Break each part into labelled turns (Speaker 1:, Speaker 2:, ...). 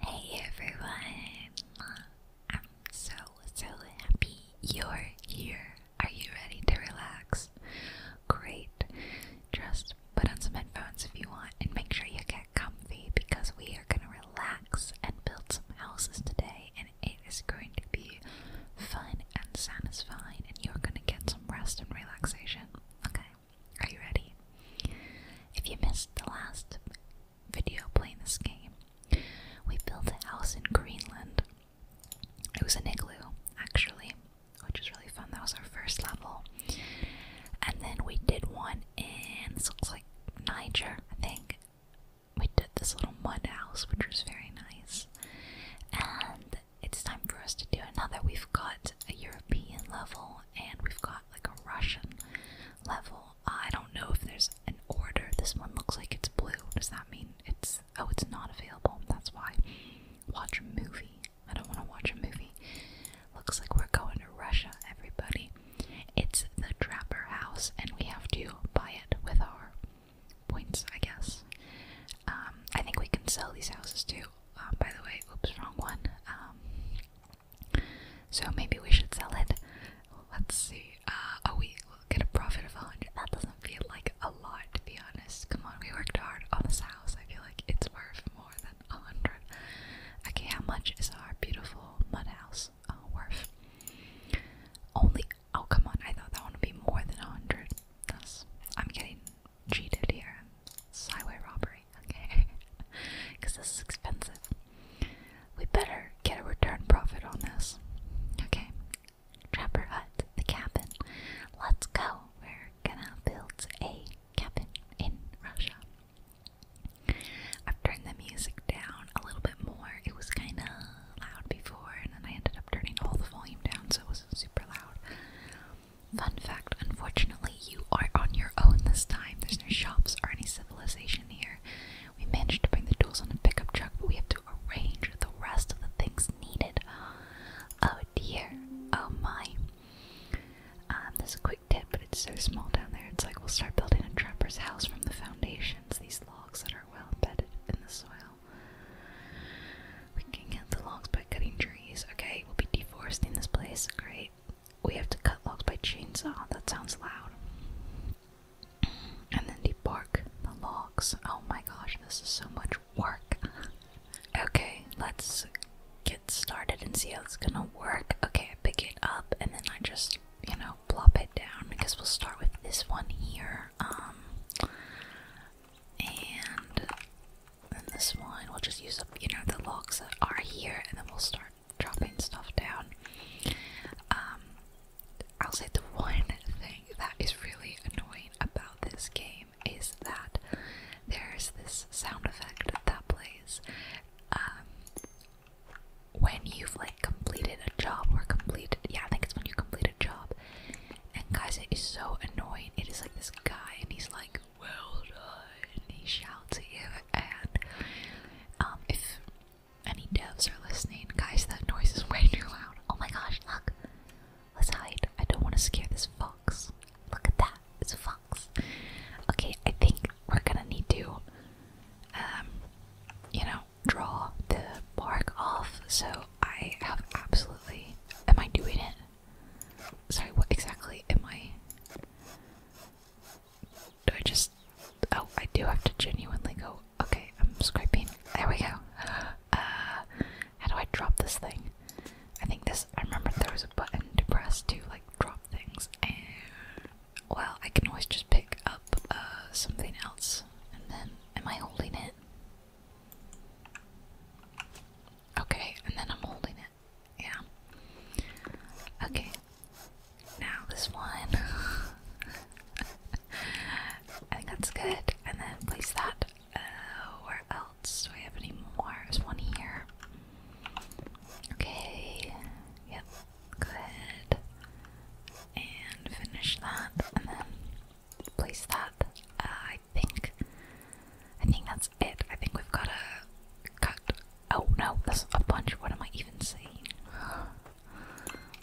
Speaker 1: Hey everyone! I'm so so happy you're here. Are you ready to relax? Great! Just put on some headphones if you want and make sure you get comfy because we are going to relax and build some houses today and it is going to be fun and satisfying and you're going to get some rest and relaxation. Okay? Are you ready? If you missed the last video playing this game, we built a house in Greenland. It was an igloo, actually, which was really fun. That was our first level. And then we did one in, this looks like Niger, I think. We did this little mud house, which was very nice. And it's time for us to do another. We've got a European level and we've got like a Russian level. I don't know if there's an order. This one looks like it's blue. Does that mean it's. Oh, it's not available. That's why. Watch a movie. I don't want to watch a movie. Looks like we're going to Russia, everybody. It's the Trapper House, and we have to buy it with our points, I guess. Um, I think we can sell these houses too. Um, by the way, oops, wrong one. Um, so maybe we should sell it. Let's see. Uh, oh, we will get a profit of a 100. That doesn't feel like a lot, to be honest. Come on, we worked hard on this house. I feel like it's worth more than a 100. Okay, how much is our beautiful mud house uh, worth? Only. Oh, come on. I thought that one would be more than a 100. That's, I'm getting cheated here. It's robbery okay? Because this is expensive. We better get a return profit on this. Okay. Trapper Hut, the cabin. Let's go. We're gonna build a cabin in Russia. I've turned the music down a little bit more. It was kind of loud before, and then I ended up turning all the volume down so it wasn't super loud. Fun fact unfortunately, Fortunately, you are on your own this time. There's no shops or any civilization here. We managed to bring the tools on a pickup truck, but we have to arrange the rest of the things needed. Oh dear. Oh my. Um, there's a quick tip, but it's so small down there. It's like we'll start building a trapper's house from the foundations, these logs that are well embedded in the soil. We can get the logs by cutting trees. Okay, we'll be deforesting this place. Great. We have to cut logs by chainsaw. That sounds loud. And then debark the logs. Oh my gosh, this is so much work. okay, let's get started and see how it's gonna work. Okay, pick it up and then I just, you know, plop it down because we'll start with this one here. Um, and then this one, we'll just use up, you know, the logs that are here and then we'll start dropping stuff down. Um, I'll say the one thing that is really annoying about this game is that there's this sound effect that plays um, when you've like completed a job or completed, yeah, I think it's when you complete a job. And guys, it is so annoying. It is like this guy, and he's like well done, he shouts at you, and um, if any devs are listening, guys, that noise is way too loud. Oh my gosh, look! Let's hide. I don't want to scare this fox. Look at that, it's a fox. Okay, I think we're gonna need to, um, you know, draw the bark off. So I have absolutely. Am I doing it? Sorry, what exactly am I? Do I just. Oh, I do have to genuinely go. Okay, I'm scraping. There we go. Uh, how do I drop this thing? I think this. I remember there was a button to press to, like, drop things. Well, I can always just pick up uh, something else. And then. Am I holding it? Okay, and then I'm holding it. Yeah. Okay. Now this one. I think that's good. And then place that. Uh, where else? Do I have any more? There's one here. Okay. Yep. Good. And finish that. And then place that. Uh, I think. I think that's it. I think we've got a cut Oh no, there's a bunch. What am I even saying?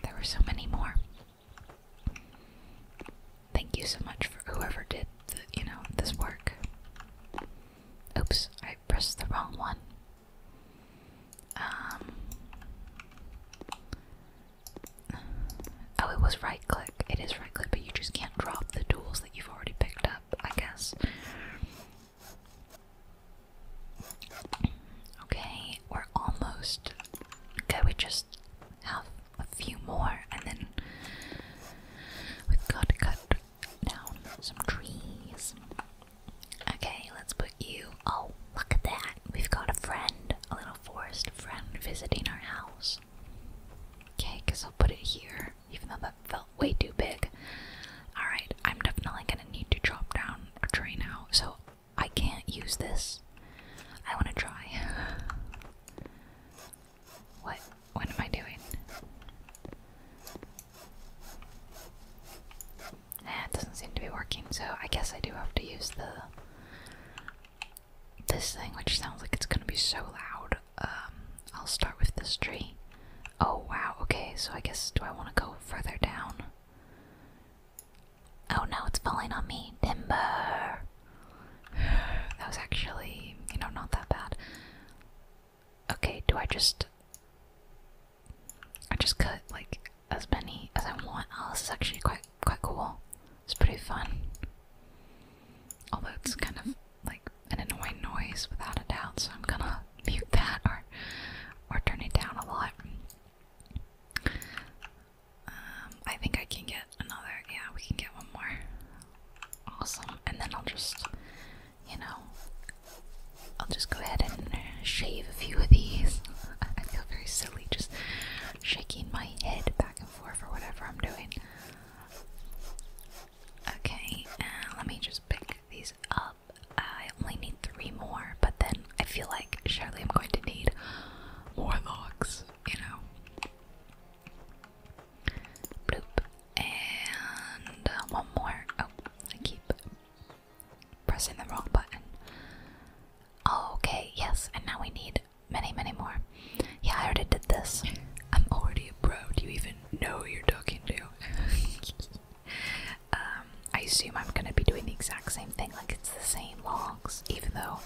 Speaker 1: There were so many more. Thank you so much for whoever did the, you know, this work. Oops, I pressed the wrong one. Um Oh, it was right click. It is right click, but you just can't drop the tools that you've already picked up, I guess. Okay, we're almost. Can we just have a few more and then we've got to cut down some trees? Okay, let's put you. Oh, look at that! We've got a friend, a little forest friend visiting our house. Okay, because I'll put it here even though that felt way too big. Alright, I'm definitely gonna need to chop down a tree now, so I can't use this. I wanna try. What? What am I doing? Eh, it doesn't seem to be working, so I guess I do have to use the this thing, which sounds like it's gonna be so loud. Um, I'll start with this tree. Oh wow, okay, so I guess do I want to go further down? Oh no, it's falling on me. Timber! that was actually, you know, not that bad. Okay, do I just. I just cut like as many as I want. Oh, this is actually quite quite cool. It's pretty fun. Although it's kind of like an annoying noise without a doubt, so I'm gonna mute that or or turn it down a lot. Um, I think I can get another. Yeah, we can get one more. Awesome. And then I'll just, you know, I'll just go ahead and shave a few of these. I feel very silly just shaking my head back and forth for whatever I'm doing. Okay, let me just pick these up. I only need three more, but then I feel like surely I'm going to need more logs, you know. Bloop. And uh, one more. Oh, I keep pressing the wrong button. Oh, okay, yes, and now we need many, many more. Yeah, I already did this. I'm already a pro. Do you even know who you're talking to? Um, I assume I'm going to be doing the exact same thing, like it's the same logs, even though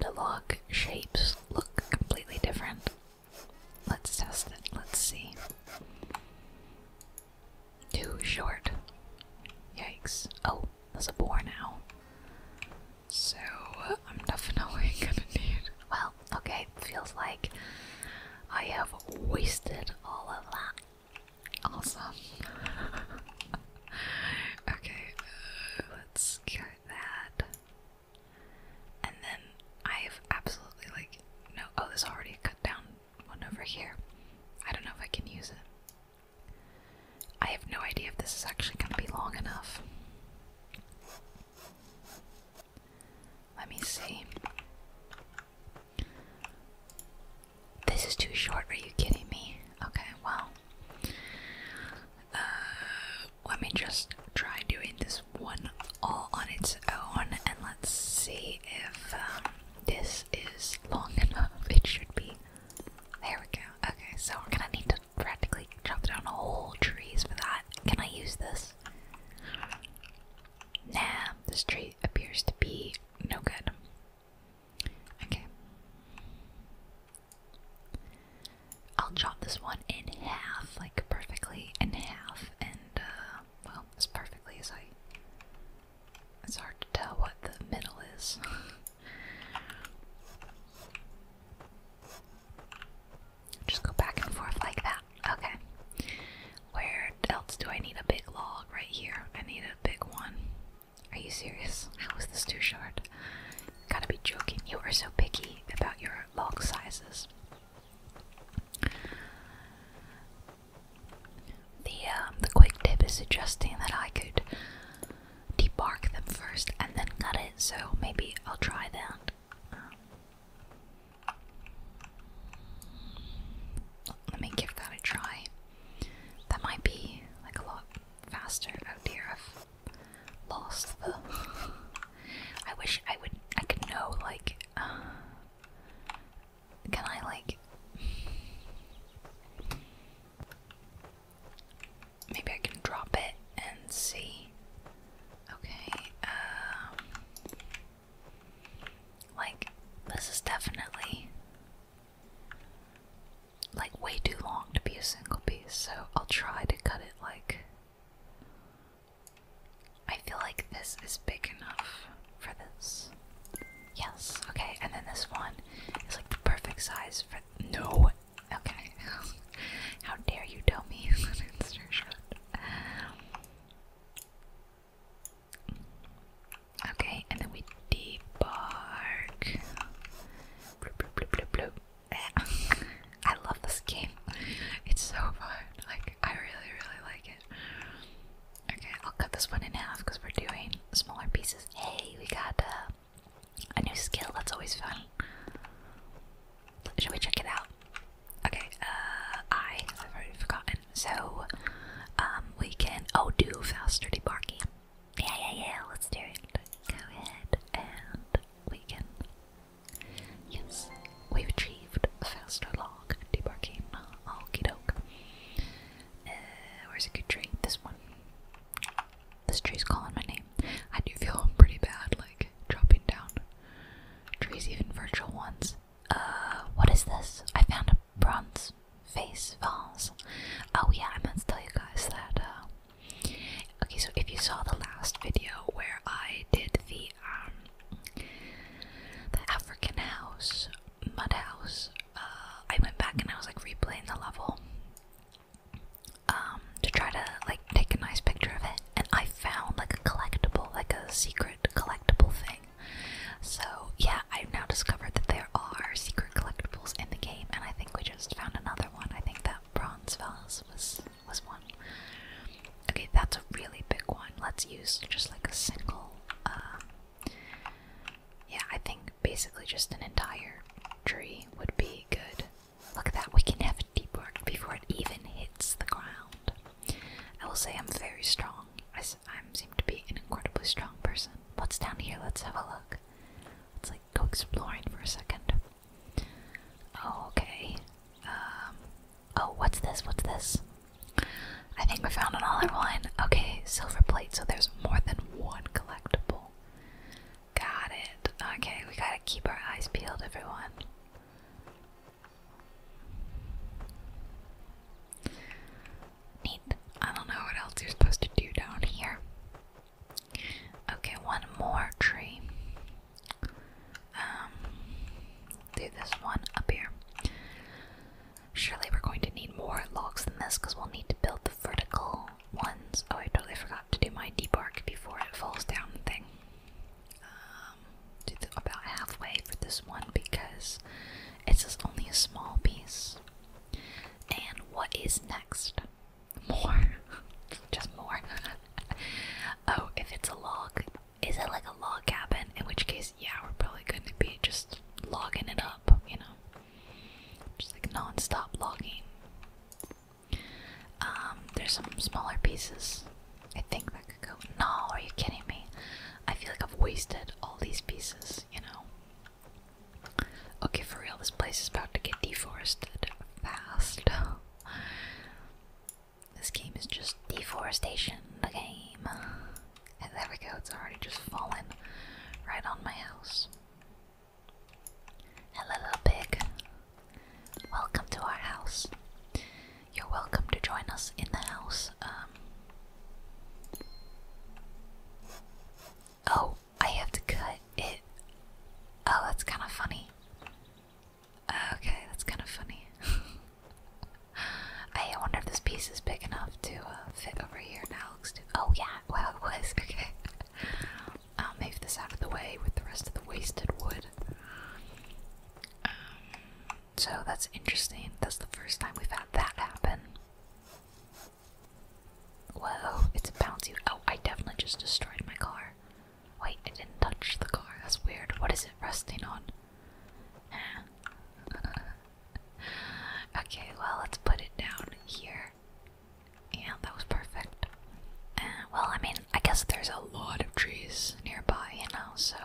Speaker 1: the log shapes look completely different. Let's test it, let's see. Too short. Yikes. Oh, that's a bore now. So, I'm definitely gonna need. Well, okay, feels like I have wasted all of that. Awesome. okay, uh, let's cut that. And then I have absolutely like no. Oh, this already cut down one over here. I don't know if I can use it. I have no idea if this is actually going to be long enough. Let me see. This is too short. Are you kidding me? Okay, well. Uh, let me just try doing this one all on its own and let's see if um, this is long enough. It should be. There we go. Okay, so we're gonna need to practically chop down whole trees for that. Can I use this? Nah, this tree appears to be no good. Okay. I'll chop this one in half, like perfectly in half, and uh, well, as perfectly as I. It's hard to tell what the middle is. Just go back and forth like that okay. Where else do I need a big log? Right here. I need a big one. Are you serious? How is this too short? Gotta be joking. You are so picky about your log sizes. The um, the quick tip is suggesting that I could debark them first and then cut it. So maybe I'll try that let me give that a try. That might be like a lot faster. Oh dear, I've lost the. I wish I would. I could know like. Uh, can I like? Maybe I can drop it and see. Okay. Um, like, this is definitely like way too long to be a single piece, so I'll try to cut it like. I feel like this is big enough for this. Yes, okay, and then this one is like the perfect size for. No! Okay. How dare you tell me that it's no shot? Okay, and then we debark. I love this game. It's so fun. Like, I really, really like it. Okay, I'll cut this one in half because we're doing smaller pieces. Hey, we got uh, a new skill. That's always fun. Should we check it out? Okay, uh, I, have already forgotten. So, um, we can, oh, do faster debarking. Yeah, yeah, yeah, let's do it. Go ahead, and we can, yes, we've achieved faster log debarking. Okie doke. Uh, where's a good tree? This one. This tree's calling my name. I do feel pretty bad, like, dropping down trees, even virtual ones. Uh, what is this? I found a bronze face vase. Oh yeah, I meant to tell you guys that. Uh, okay, so if you saw the last video where I did the um the African house mud house, uh, I went back and I was like replaying the level um to try to like take a nice picture of it, and I found like a collectible, like a secret collectible thing so, yeah, I've now discovered that there are secret collectibles in the game, and I think we just found another one. I think that bronze vase was, was one. Okay, that's a really big one. Let's use just like a single, uh, yeah, I think basically just an entire tree would be good. Look at that, we can have it deep before it even hits the ground. I will say I'm very strong. I, seem to be an incredibly strong person. What's down here? Let's have a look. Let's like go exploring for a second. Oh, okay. Um, oh, what's this? What's this? I think we found another one. Okay, silver plate. So there's more than one collectible. Got it. Okay, we gotta keep our eyes peeled, everyone. Neat. I don't know what else you're supposed to do down here. Okay, one more tree. Um, do this one up here. Surely we're going to need more logs than this because we'll need to build the vertical ones. Oh, I totally forgot to do my debark before it falls down thing. Um, about halfway for this one because it's just only a small piece. And what is next? More. just more. oh, if it's a log, is it like a log cabin? In which case, yeah, we're probably going to be just logging it up, you know? Just like non stop logging. Um, there's some smaller pieces. I think no, are you kidding me? I feel like I've wasted all these pieces, you know? Okay, for real, this place is about to get deforested fast. this game is just deforestation, the game. And there we go, it's already just fallen right on my house. Hello, little pig. Welcome to our house you're welcome to join us in the house. Um, oh, I have to cut it. Oh, that's kind of funny. Okay, that's kind of funny. I wonder if this piece is big enough to uh, fit over here now. oh yeah, well it was. Okay, I'll move this out of the way with the rest of the wasted wood. Um, so that's interesting. That's the first time we've had that happen. Whoa, it's bouncy. Oh, I definitely just destroyed my car. Wait, I didn't touch the car. That's weird. What is it resting on? okay, well, let's put it down here. Yeah, that was perfect. Uh, well, I mean, I guess there's a lot of trees nearby, you know, so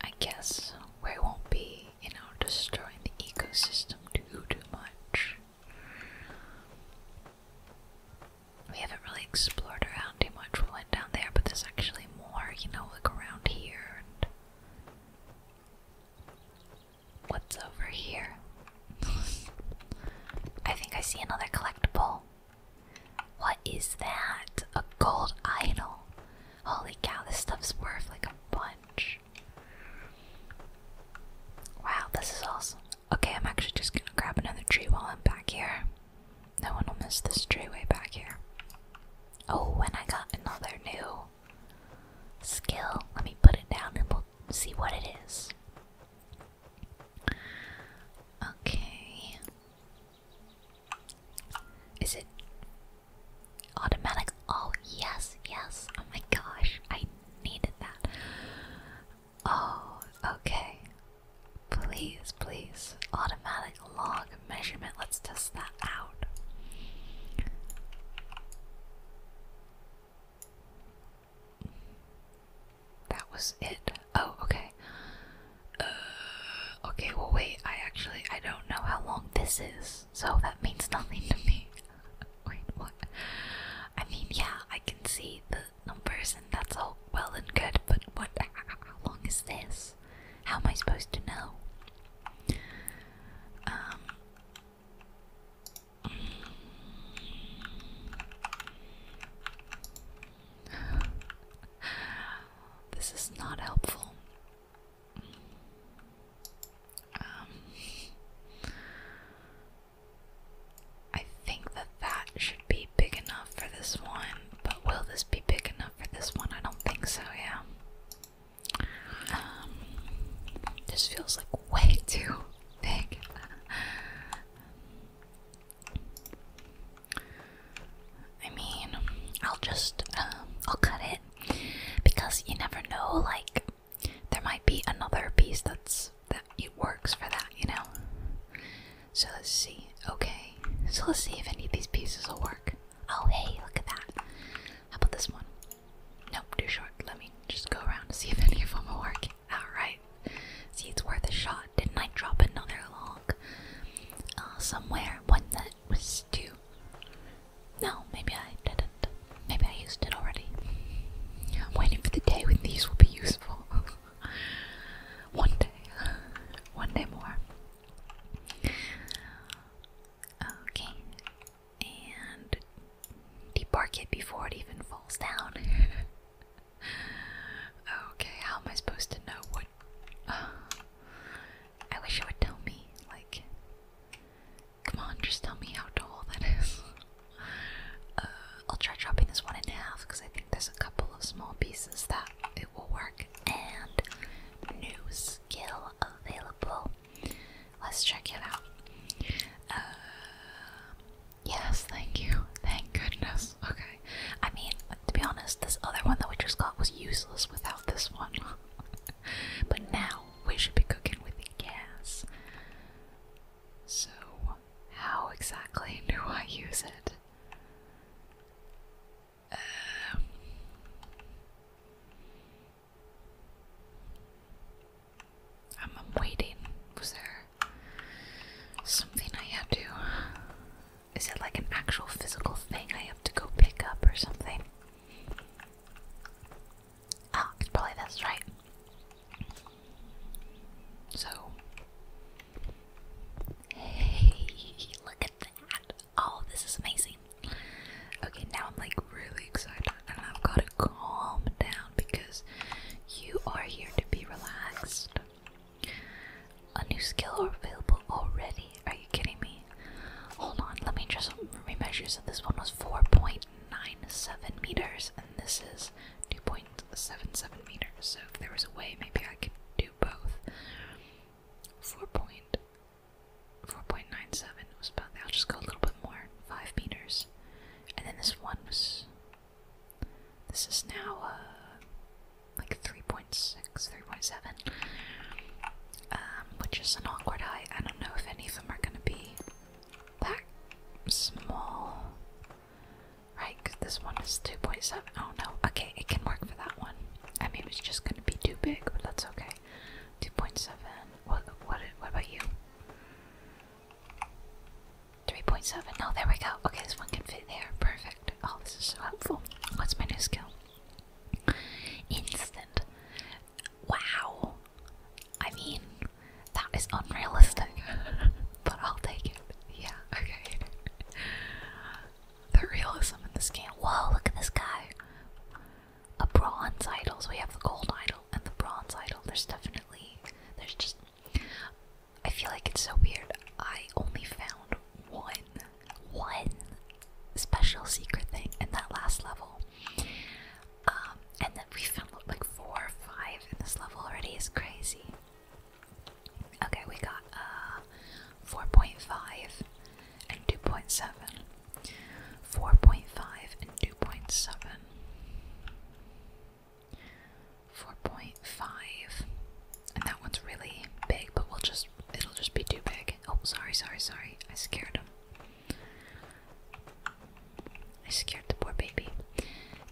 Speaker 1: I guess we won't be, you know, destroying the ecosystem too too much. We haven't really explored around too much. We went down there, but there's actually more, you know, look around here and what's over here. I think I see another collectible. What is that? A gold idol. Holy cow, this stuff's worth like a bunch. Wow, this is awesome. Okay, I'm actually just gonna grab another tree while I'm back here. No one will miss this tree way back here. Oh, and I got another new skill. Let me put it down and we'll see what it is. Okay. Is it automatic? Oh, yes, yes. Oh my gosh, I needed that. Oh, okay. Please, please. Automatic log measurement. Let's test that out. That was it. Oh, okay. Uh, okay, well, wait, I actually, I don't know how long this is, so that means nothing to me. wait, what? I mean, yeah, I can see the numbers and that's all well and good, but what, how long is this? How am I supposed to know? Um... This is not helpful. Um, I think that that should be big enough for this one, but will this be big enough for this one? I don't think so, yeah. Um, this feels like way too big. I mean, I'll just um, I'll cut it because you never know. Like, there might be another piece that's that it works for that, you know. So let's see. Okay, so let's see if any of these pieces will work. Oh, hey, look at that. How about this one? Nope, too short. Let me just go around and see if any of them will work. Alright. See, it's worth a shot. Didn't I drop another log? Uh, somewhere one that was due. No, maybe I didn't. Maybe I used it already. I'm waiting for the day when these will be useful. One day. One day more. Okay. And debark it before it even falls down. okay, how am I supposed to know what? I wish you would tell me. Like, come on, just tell me how tall that is. uh, I'll try chopping this one in half because I think there's a couple of small pieces that it will work. And new skill available. Let's check it out. Uh, yes, thank you. Thank goodness. Okay. I mean, to be honest, this other one that we just got was useless without this one. but now we should be cooking with the gas. So, how exactly do I use it? Um, I'm, waiting. Was there something I had to is it like an actual physical thing I have to go pick up or something? Ah, probably this, right? So. Hey, look at that! Oh, this is amazing. Okay, now I'm like really excited and I've got to calm down because you are here to be relaxed. A new skill available already? Are you kidding me? Hold on, let me just remeasure. So this one was 4.97 meters, and this is 2.77 meters. So if there was a way, maybe I could do both. 4. 4.97 was about that. I'll just go a little bit more. 5 meters. And then this one was. This is now, uh like 3.6, 3.7, um, which is an awkward height. I don't know if any of them are going to be that small. Right, because this one is 2.7. Oh no, okay, it can work for that one. I mean, it's just going to be too big, but that's okay. 2.7. What, what, what about you? 3.7. Oh, there we go. Okay, this one can fit there. Perfect. Oh, this is so helpful. What's my new skill? Instant. Wow. I mean, that is unrealistic, but I'll take it. Yeah, okay. the realism in the scan. Whoa, look at this guy. A bronze idol. So we have the gold idol and the bronze idol. There's definitely, there's just I feel like it's so weird. I only found one, one special secret thing in that last level. Um, and then we found like four or five in this level already is crazy. Okay, we got uh 4.5 and 2.7. 4.5 and 2.7. 4.5 Five, and that one's really big, but we'll just it'll just be too big. Oh, sorry, sorry, sorry. I scared him. I scared the poor baby.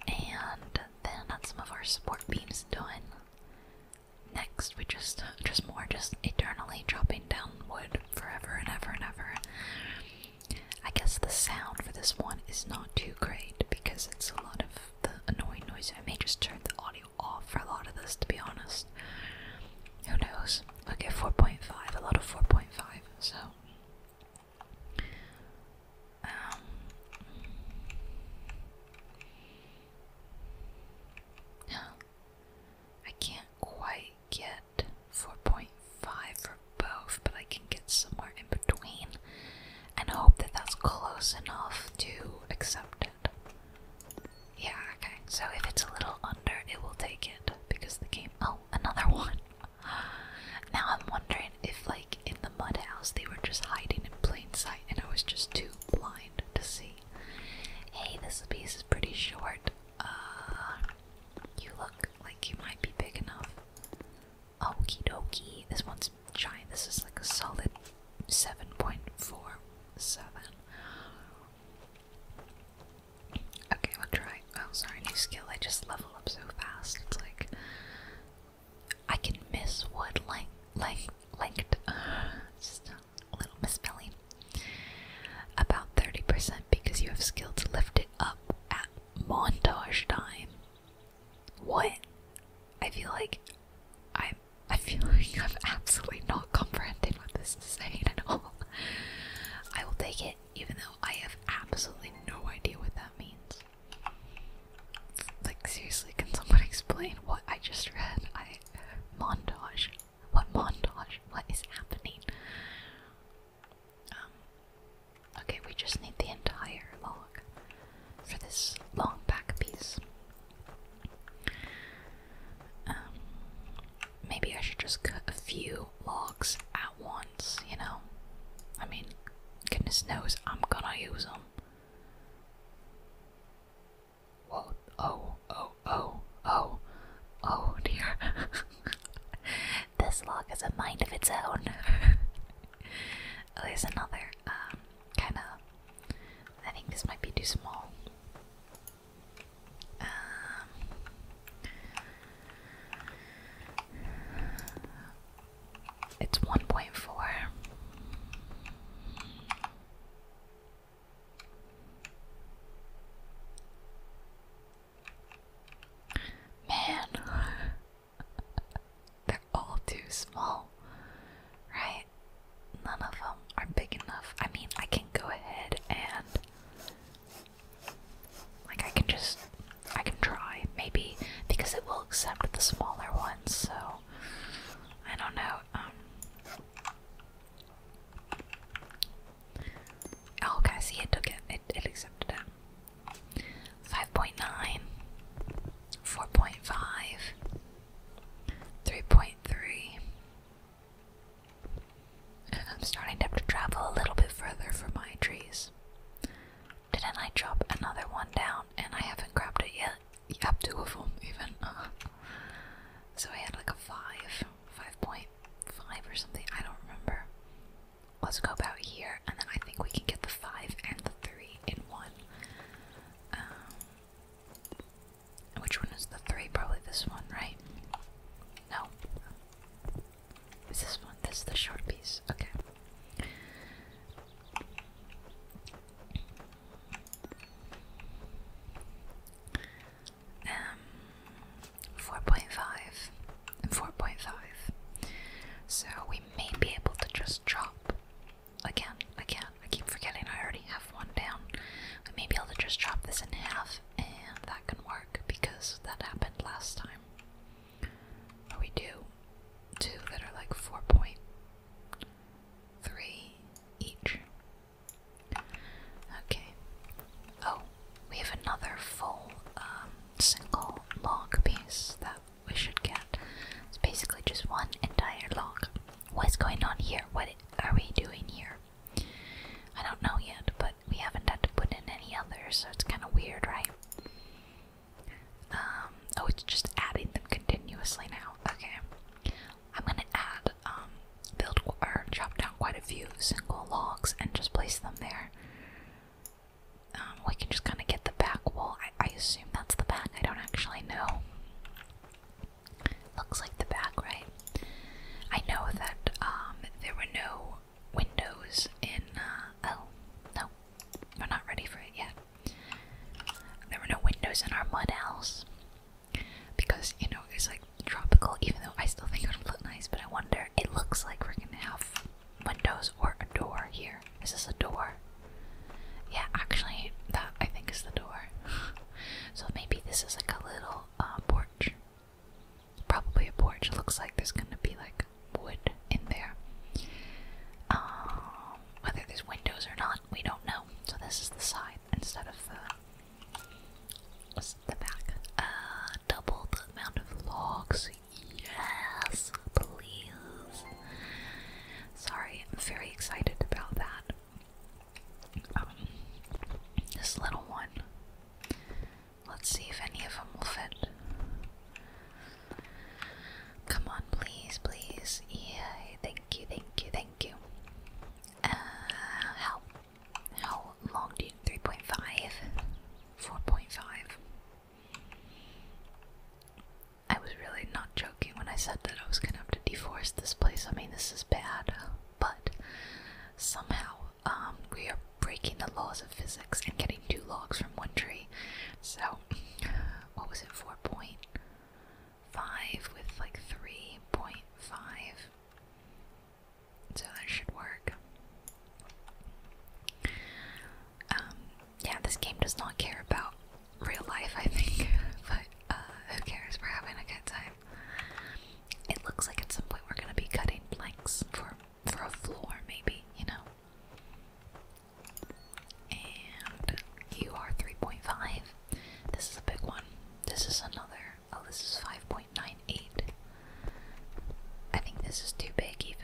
Speaker 1: And then that's some of our support beams done. Next, we just just more just eternally dropping down wood forever and ever and ever. I guess the sound for this one is not too great because it's a lot of the annoying noise. I may just turn the audio audio off for a lot of this, to be honest. Who knows? Okay, 4.5, a lot of 4.5, so. Um. I can't quite get 4.5 for both, but I can get somewhere in between and hope that that's close enough to accept it. Yeah, okay. So if it's a little under, it will take it because the game. Oh, another one. Now I'm wondering if, like, in the mud house, they were just hiding in plain sight and I was just too blind to see. Hey, this piece is pretty short. Uh, you look like you might be big enough. Okie dokie. This one's giant. This is like a solid 7.47. Okay, we'll try. Oh, sorry, new skill. I just level up so fast. It's like I can miss what like like like a little misspelling. About 30% because you have skill to lift it up at montage time. What? I feel like I'm I feel like i have absolutely not comprehended what this is saying at all. I will take it, even though I have absolutely no idea what that means. Like, seriously, can someone explain what I just read? Montage. What montage? What is happening? Um, okay, we just need the entire log for this long back piece. Um, maybe I should just cut a few logs at once, you know? I mean, goodness knows I'm gonna use them. Whoa, oh, oh, oh, oh, oh dear. this log has a mind of its own. There's another um, kind of I think this might be too small. Um, it's 1.4. Man, they're all too small all, right? None of them are big enough. I mean, I can go ahead and like I can just I can try maybe because it will accept the smaller ones. So I don't know. Um, oh, okay, see, it took it. It, it accepted it. 5.9 4.5 3.3. I'm starting to have to travel a little bit further for my trees. Didn't I drop another one down and I haven't grabbed it yet? Yep, two of them even. Uh-huh. so I had like a 5, 5.5 or something, I don't remember. Let's go about here and then I think we can get the 5 and the 3 in one. Um, which one is the three? Probably this one, right? No. Is this one? This is the short piece. Okay. Um, 4.5 and 4.5. So we may be able to just drop Again, again, I keep forgetting I already have one down. I may be able to just chop this in half, and that can work because that happened last time. But we do two that are like 4.3 each. Okay. Oh, we have another full um, single log piece that we should get. It's basically just one entire log. What's going on here? What are we doing here? I don't know yet, but we haven't had to put in any others, so it's kind of weird, right? Um, oh, it's just adding them continuously now. Okay. I'm gonna add, um, build or chop down quite a few single logs and just place them there. Um, we can just kind of get the back wall. I assume that's the back. I don't actually know. Looks like the back, right? I know that um, there were no windows in. Uh, oh, no. We're not ready for it yet. There were no windows in our mud house. Because, you know, it's like tropical, even though I still think it would look nice, but I wonder. It looks like we're gonna have windows or a door here. Is this a door? Yeah, actually, that I think is the door. so maybe this is like a little uh, porch. Probably a porch. It looks like there's gonna be like wood in there. Um, whether there's windows or not, we don't know. So this is the side instead of the the back. Uh, double the amount of logs. Yes, please. Sorry, I'm very excited about that. Um, this little one. Let's see if any of them will fit. Come on, please, please. Yeah, thank you, thank you, thank you. Uh, how, long do you, 3.5? 4.5? I was really not joking when I said that I was gonna have to deforest this place. I mean, this is bad, but somehow um, we are breaking the laws of physics and getting two logs from one tree. So, what was it, 4.5 with like 3.5? So that should work. Um, yeah, this game does not care about real life, I think. But uh, who cares? We're having a good time. It looks like at some point we're gonna be cutting planks for for a floor, maybe you know. And you are three point five. This is a big one. This is another. Oh, this is five point nine eight. I think this is too big even.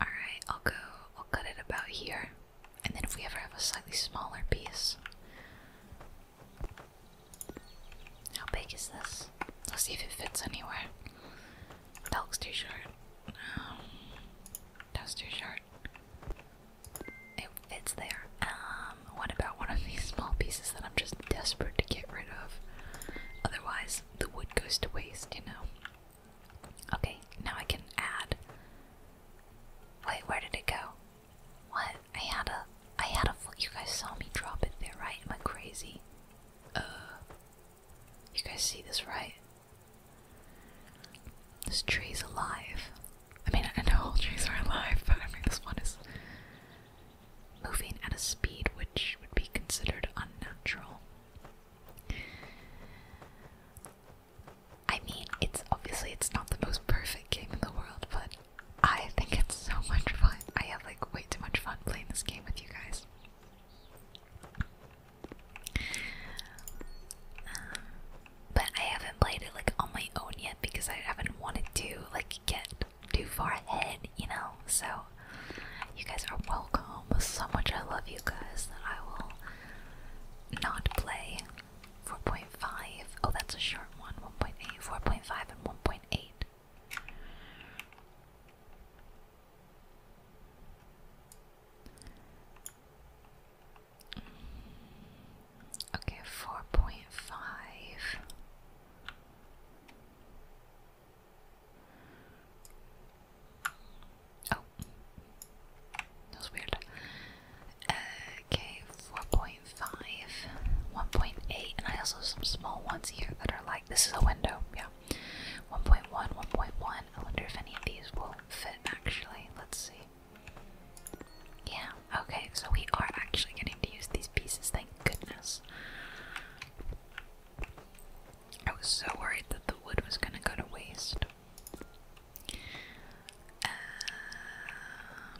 Speaker 1: Alright, I'll go, I'll cut it about here. And then if we ever have a slightly smaller piece. How big is this? Let's see if it fits anywhere. That looks too short. Um, that's too short. It fits there. Um, what about one of these small pieces that I'm just desperate to get rid of? Otherwise, the wood goes to waste, you know? Okay, now I can add. Wait, where did it go? What? I had a, I had a, you guys saw me drop it there, right? Am I crazy? Uh, you guys see this, right? This tree is alive. I mean, I know all trees are alive, but I mean, this one is moving at a speed which would be considered unnatural. I mean, it's obviously it's not the most perfect game in the world, but I think it's so much fun. I have like way too much fun playing this game with you guys. Um, but I haven't played it like on my own yet because I haven't wanted to like get too far ahead, you know. So you guys are welcome. So much I love you guys that I will not play 4.5. Oh, that's a short one 1.8, 4.5, and 1.8. Okay, 4.5. Oh. That was weird. Uh, okay, 4.5, 1.8, and I also have some small ones here that are like this is a window, yeah. 1.1, 1.1. I wonder if any of these will fit actually. Let's see. Yeah, okay, so we are actually getting to use these pieces, thank goodness. I was so worried that the wood was gonna go to waste. Um,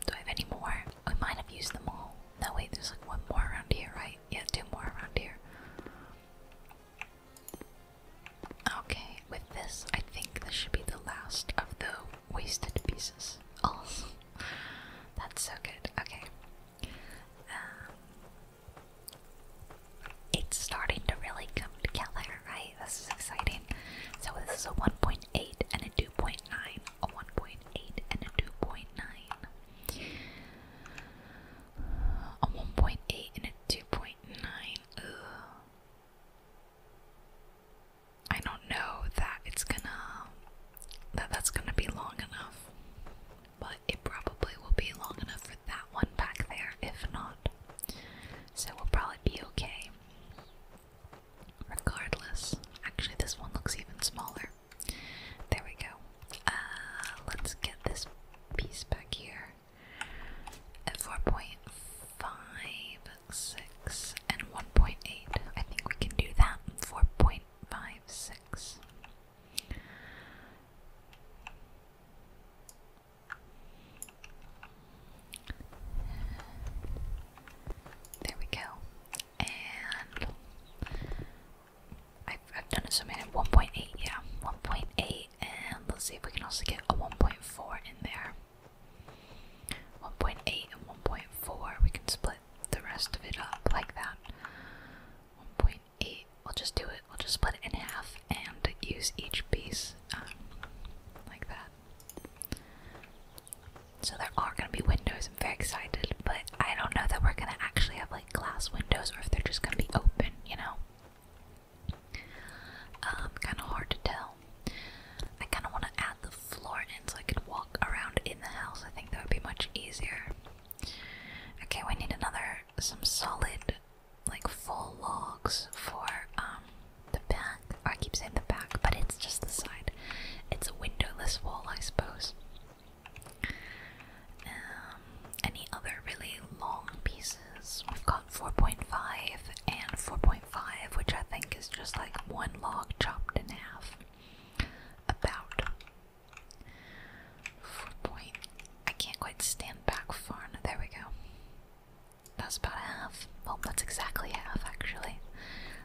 Speaker 1: do I have any more? We might have used them all. No, wait, there's like one more around here, right? Yeah, two more around here. Okay, with this, I think this should be the last of the wasted pieces. Oh, that's so good. Okay. Um, it's starting to really come together, right? This is exciting. So this is a 1.8 and a 2.9, a 1.8 and a 2.9, a 1.8 and a 2.9. I don't know that it's gonna that that's gonna be long enough but it probably will be long enough for that one back there, if not. So we'll probably be okay. Regardless, actually, this one looks even smaller. There we go. Uh, let's get this piece back here at 4.56 and 1.8. I think we can do that. 4.56. There we go. And I've, done it so many. 1.8, yeah. 1.8. And let's see if we can also get a 1.4 in there. 1.8 and 1.4. We can split the rest of it up like that. 1.8 eight. We'll just do it. We'll just split it in half and use each piece um, like that. So there are going to be windows. I'm very excited, but I don't know that we're going to actually have like glass windows or if they're just going to be open, you know? Um, kind of hard to tell. I kind of want to add the floor in so I can walk around in the house. I think that would be much easier. Okay, we need another, some solid like full logs for um the back. I keep saying the back, but it's just the side. It's a windowless wall, I suppose. Um, any other really long pieces? We've got 4.5 and 4.5, which I think is just like one log chopped in half. About. Four point. I can't quite stand back far enough. There we go. That's about half. Well, that's exactly half, actually.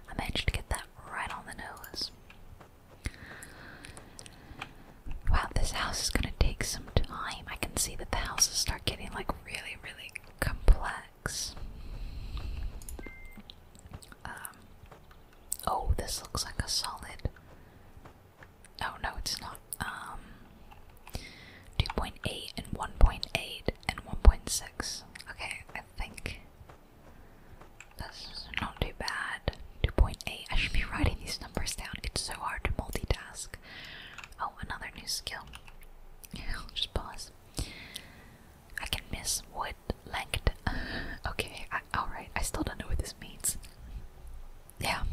Speaker 1: I managed to get that right on the nose. Wow, this house is gonna take some time. I can see that the houses start getting like really, really complex. Um, oh, this looks like a solid Oh no, it's not. Um, 2.8 and 1.8 and 1.6. Okay, I think that's not too bad. 2.8. I should be writing these numbers down. It's so hard to multitask. Oh, another new skill. i just pause. I can miss wood length. okay, alright. I still don't know what this means yeah,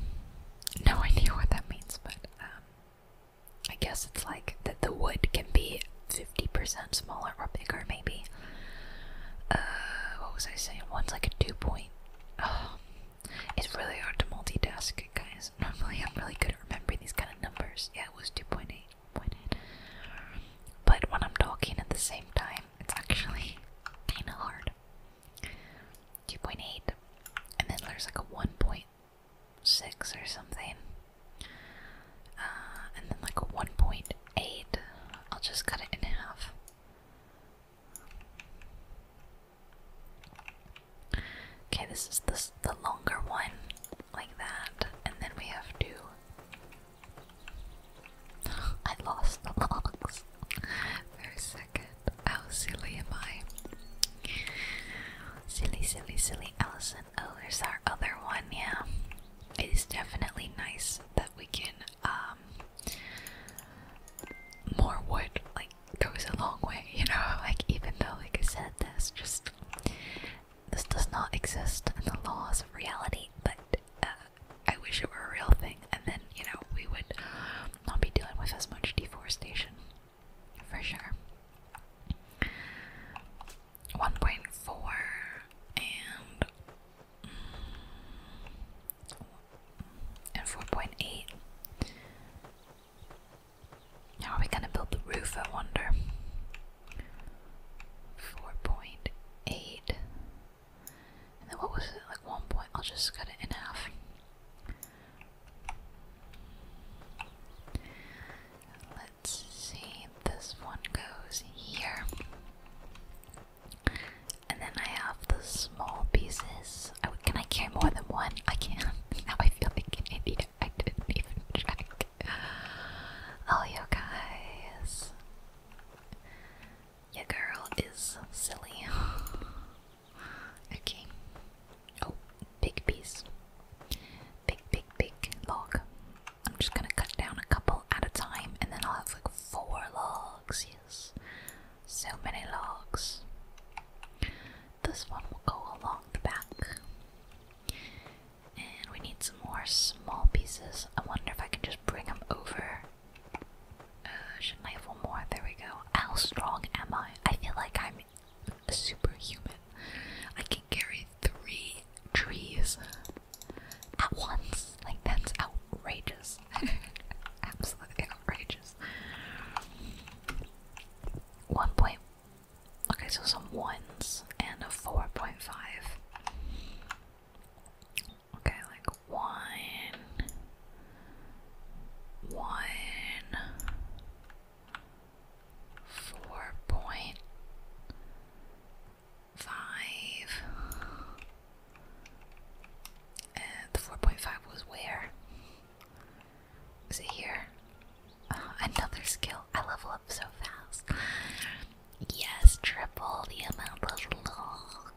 Speaker 1: no idea what that means, but um, I guess it's like that the wood can be 50% smaller or bigger, maybe. Uh, what was I saying? One's like a two point. Oh, it's really hard to multitask, guys. Normally, I'm really good at remembering these kind of numbers. Yeah, it was 2.8, 2.8. But when I'm talking at the same time, it's actually kind of hard. 2.8. And then there's like a 1.6 or something. Uh, and then like a 1.8. I'll just cut it in half. Okay, this is this the longer one, like that, and then we have to. I lost the logs. They're second. How oh, silly am I? Silly, silly, silly Allison. Oh, there's our other one, yeah. It is definitely nice that we can, um, more wood, like, goes a long way, you know? Like, even though, like I said, this just, this does not exist in the laws of reality, but, uh, I wish it were a real thing, and then, you know, we would not be dealing with as much deforestation for sure. 1.4 and mm, and 4.8. How are we gonna build the roof? I wonder. 4.8. And then what was it? Like one point. I'll just cut it in half. Let's see, this one goes here. And then I have the small pieces. can I carry more than one? I can. Now I feel like an idiot. I didn't even check. Oh, you guys. Your girl is silly. Okay. Oh, big piece. Big, big, big log. I'm just gonna cut down a couple at a time and then I'll have like four logs. Yes. So many logs. This one will go along the back. And we need some more small pieces. I wonder if I can just bring them over Oh, should I have more? There we go. How strong am I? I feel like I'm a superhuman. I can carry three trees at once. Like, that's outrageous. Absolutely outrageous. One point. Okay, so some ones and a 4.5. Okay, like one, one, four point five. the four point five was where? Is it here? Ah, another skill. I level up so fast. Yes, triple the amount of lol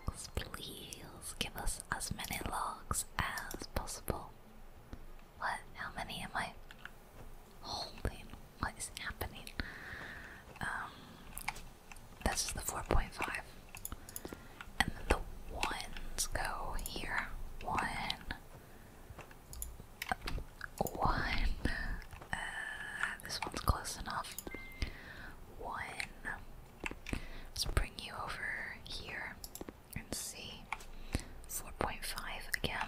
Speaker 1: please give us as many logs as possible. What? How many am I holding? What is happening? Um, this is the 4.5. And then the ones go here. One. One. Uh, this one's close enough. One. Let's bring you over here and see. 4.5 again.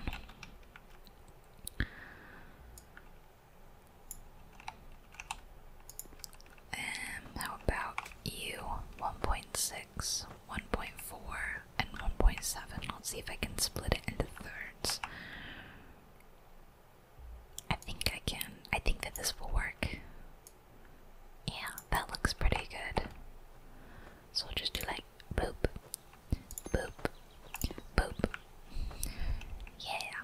Speaker 1: And um, how about you? 1.6, 1.4, and 1.7. Let's see if I can split it into thirds. I think I can. I think that this will work. Yeah, that looks pretty good. So we'll just do like boop, boop, boop. Yeah.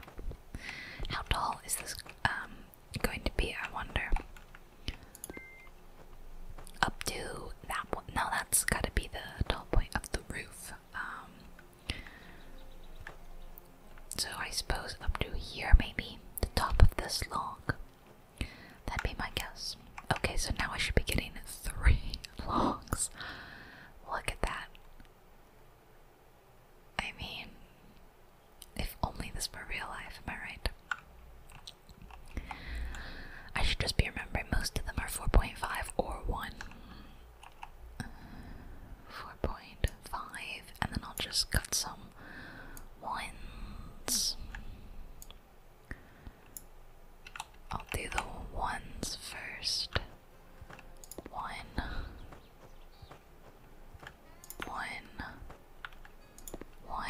Speaker 1: How tall is this um going to be? I wonder. Up to that one. No, that's got to be the tall point of the roof. Um. So I suppose up to here, maybe the top of this log. That'd be my guess. Okay, so now I should be getting three logs. Look at that. I mean, if only this were real life, am I right? I should just be remembering most of them are 4.5 or 1. 4.5, and then I'll just cut some ones. I'll do the ones first. One, one, one.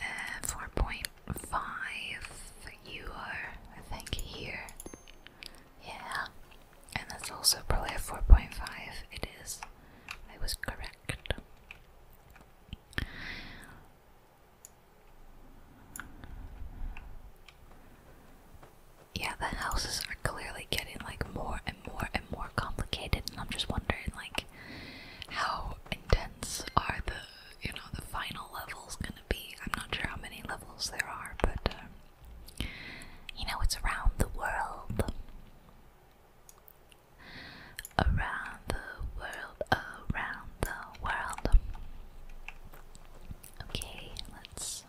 Speaker 1: Uh, four point five. You are, I think, here. Yeah. And that's also probably a 4.5. It is. It was correct. Yeah, the houses are clearly getting like more and more and more complicated, and I'm just wondering like how intense are the you know the final levels gonna be? I'm not sure how many levels there are, but uh, you know it's around the world. Around the world, around the world. Okay, let's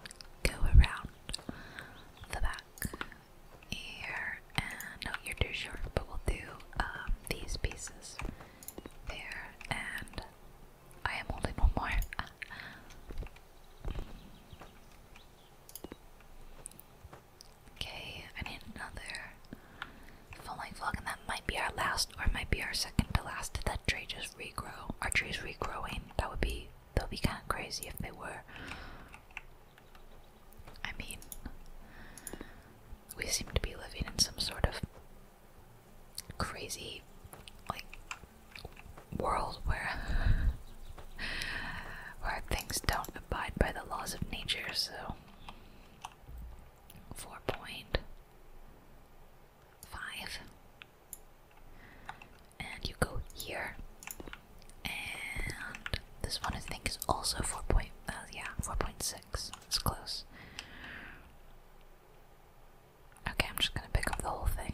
Speaker 1: go around the back here. And no, you're too short, but we'll do um, these pieces there. And I am holding one more. Okay, I need another falling vlog, and that might be our last, or might be our second to last. Did that tree just regrow? Our tree is regrowing? That would be that would be kind of crazy if they were. I mean, we seem to be living in some sort of crazy, like, world where where things don't abide by the laws of nature, so four point five. And you go here. And this one I think is also four point uh, yeah, four point six. It's close. Okay, I'm just gonna pick up the whole thing.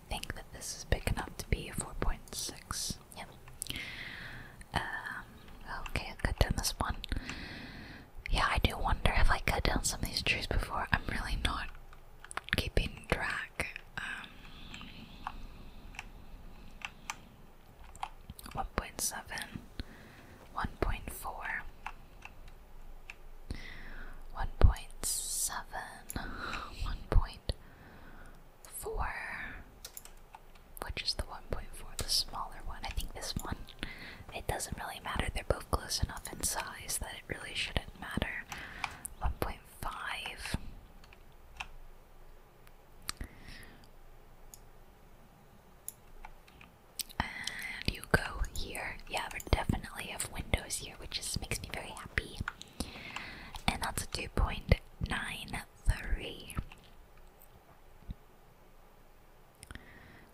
Speaker 1: I think that this is big enough to be a 4.6. Yep. Um, okay, I could done this one. Yeah, I do wonder if I cut down some of these trees before. I'm really not keeping track. Um, 1.7, 1.4 one point seven, one point four, which is the one point four, the smaller one. I think this one, it doesn't really matter. They're both close enough in size that it really shouldn't matter. One point five. And you go here. Yeah, we definitely have windows here which just makes me very happy. And that's a 2.93,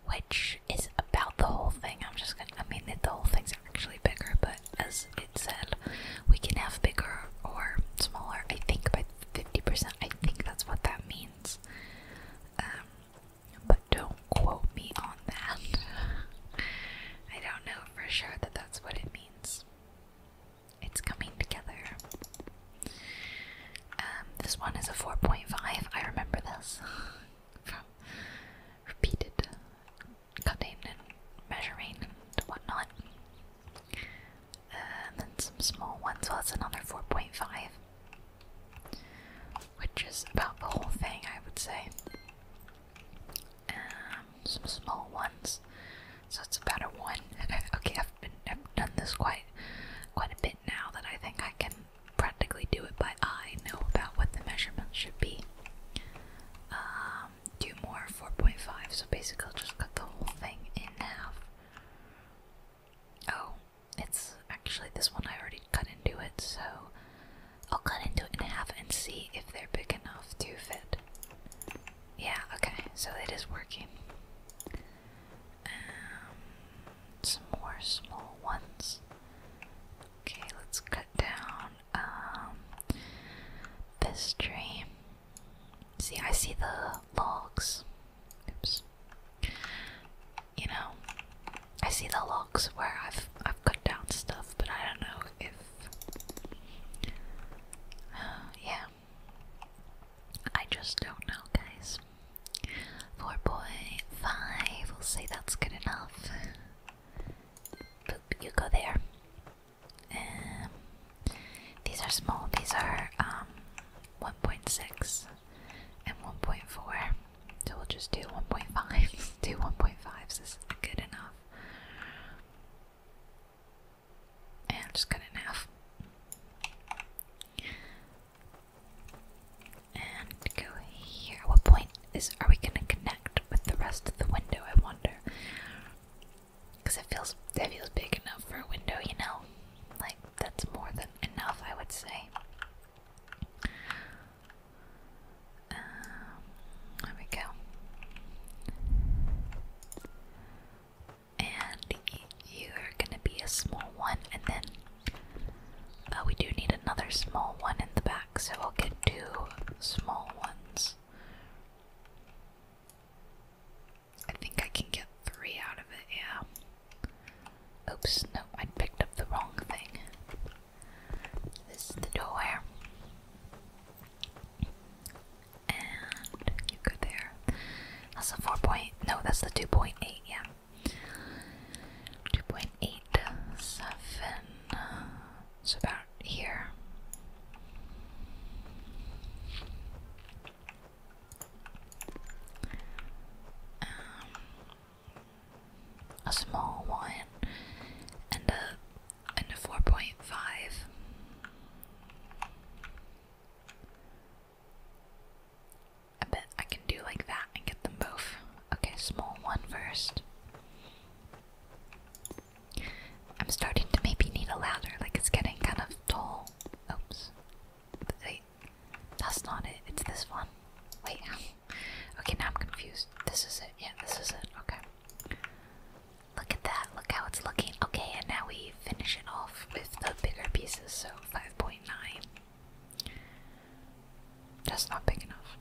Speaker 1: which is about the whole thing. I'm just gonna, I mean, the whole thing's actually bigger, but as it said, we can have bigger or smaller, I think, by 50%. I think that's what that means. Um, but don't quote me on that. I don't know for sure that that's what it means. It's coming together. Um, this one is a 4.5. I remember this from repeated cutting and measuring and whatnot. Uh, and then some small ones. Well, that's another 4.5, which is about the whole thing, I would say. Um, some small ones. So it's about a one. okay, I've I've done this quite quite a bit now that I think I can practically do it by eye. Know about what the measurements should be. Um, do more 4.5. So basically, I'll just cut the whole thing in half. Oh, it's actually this one I already cut into it, so I'll cut into it in half and see if they're big enough to fit. Yeah, okay, so it is working. Um, some more small ones. Okay, let's cut down um, this tree. See, I see the logs. Oops. You know, I see the logs where I've I've cut down stuff, but I don't know if yeah. I just don't know, guys. Four point five. We'll say that's good enough. Boop, you go there. Um, these are small. These are um, one point six and one point four. So we'll just do one point five. do one point fives is good enough. And just cut in half. And go here. what point is are we gonna connect with the rest of the window? I wonder. Cause it feels it feels big enough for a window, you know. Like that's more than enough, I would say. Um, there we go. And you're gonna be a small one, and then uh, we do need another small one in the back, so we'll get two small ones. I think I can get three out of it, yeah. Oops, no, I picked up the wrong thing. This is the door. And you go there. That's a 4 point. No, that's the 2.8, yeah. 2.87. It's about here. Um, a small one and a and a 4.5. I bet I can do like that and get them both. Okay, small one first. I'm starting to maybe need a ladder, like it's getting kind of tall. Oops. Wait, that's not it, it's this one. Wait, okay, now I'm confused. This is it, yeah, this is it, okay. Look at that, look how it's looking. Okay, and now we finish it off with the bigger pieces, so 5.9. That's not big enough.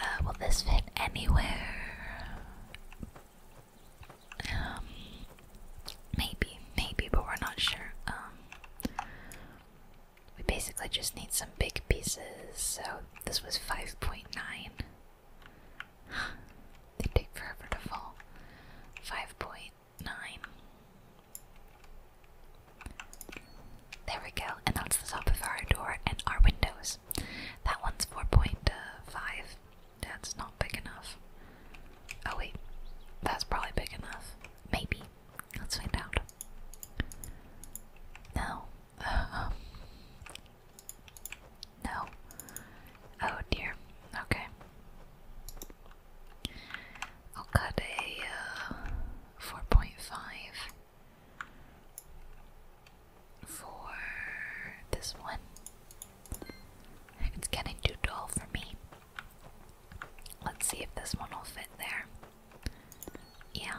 Speaker 1: Uh, will this fit anywhere? Um, maybe, maybe, but we're not sure. Um, we basically just need some big pieces, so this was 5.9. they take forever to fall. 5.9. There we go, and that's the top of our door and our windows. That one's 4.5. Uh, that's not big enough. Oh, wait. That's probably big enough. Maybe. Let's find out. No. No. Oh dear. Okay. I'll cut a uh, 4.5 for this one. It's getting too dull for me. Let's see if this one will fit there. Yeah,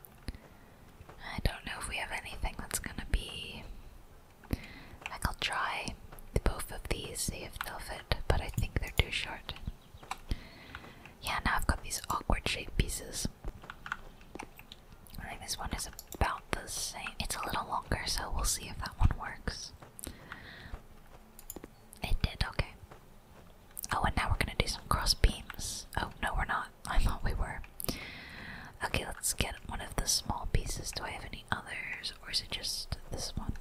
Speaker 1: I don't know if we have anything that's gonna be. Like, I'll try both of these, see if they'll fit, but I think they're too short. Yeah, now I've got these awkward shaped pieces. I think this one is about the same. It's a little longer, so we'll see if that one works. It did, okay. Oh, and now we're gonna do some cross beams. Oh, no, we're not. I thought we were. Okay, let's get one of the small pieces. Do I have any others, or is it just this one?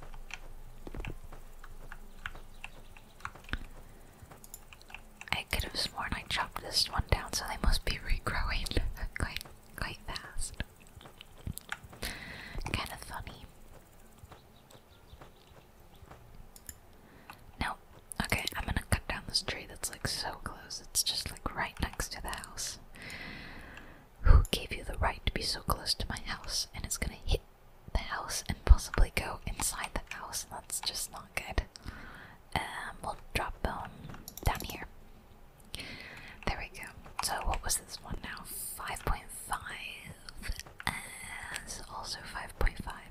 Speaker 1: I could have sworn I chopped this one down, so they must be regrowing quite, quite fast. Kind of funny. No. Okay, I'm gonna cut down this tree that's like so close. It's just like right next to the house. Who gave you the right to be so close to my house? And it's gonna hit the house and possibly go inside the house. That's just not good. Um, we'll drop them down here. There we go. So, what was this one now? 5.5. And also 5.5.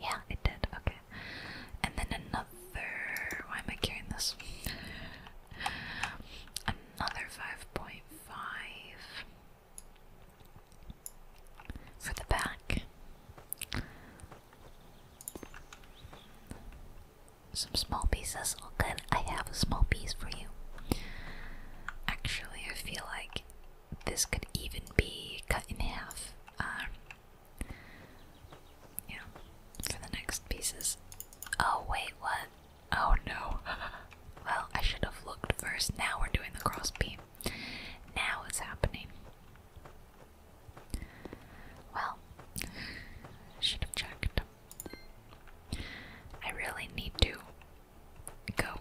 Speaker 1: Yeah, it did. Okay. And then another. Why am I carrying this? Another 5.5 for the back. Some small pieces. All oh good. I have a small piece for you. Actually, I feel like this could even be cut in half. Um, yeah, for the next pieces. Oh, wait, what? Oh no. well, I should have looked first. Now we're doing the crossbeam. Now it's happening. Well, should have checked. I really need to go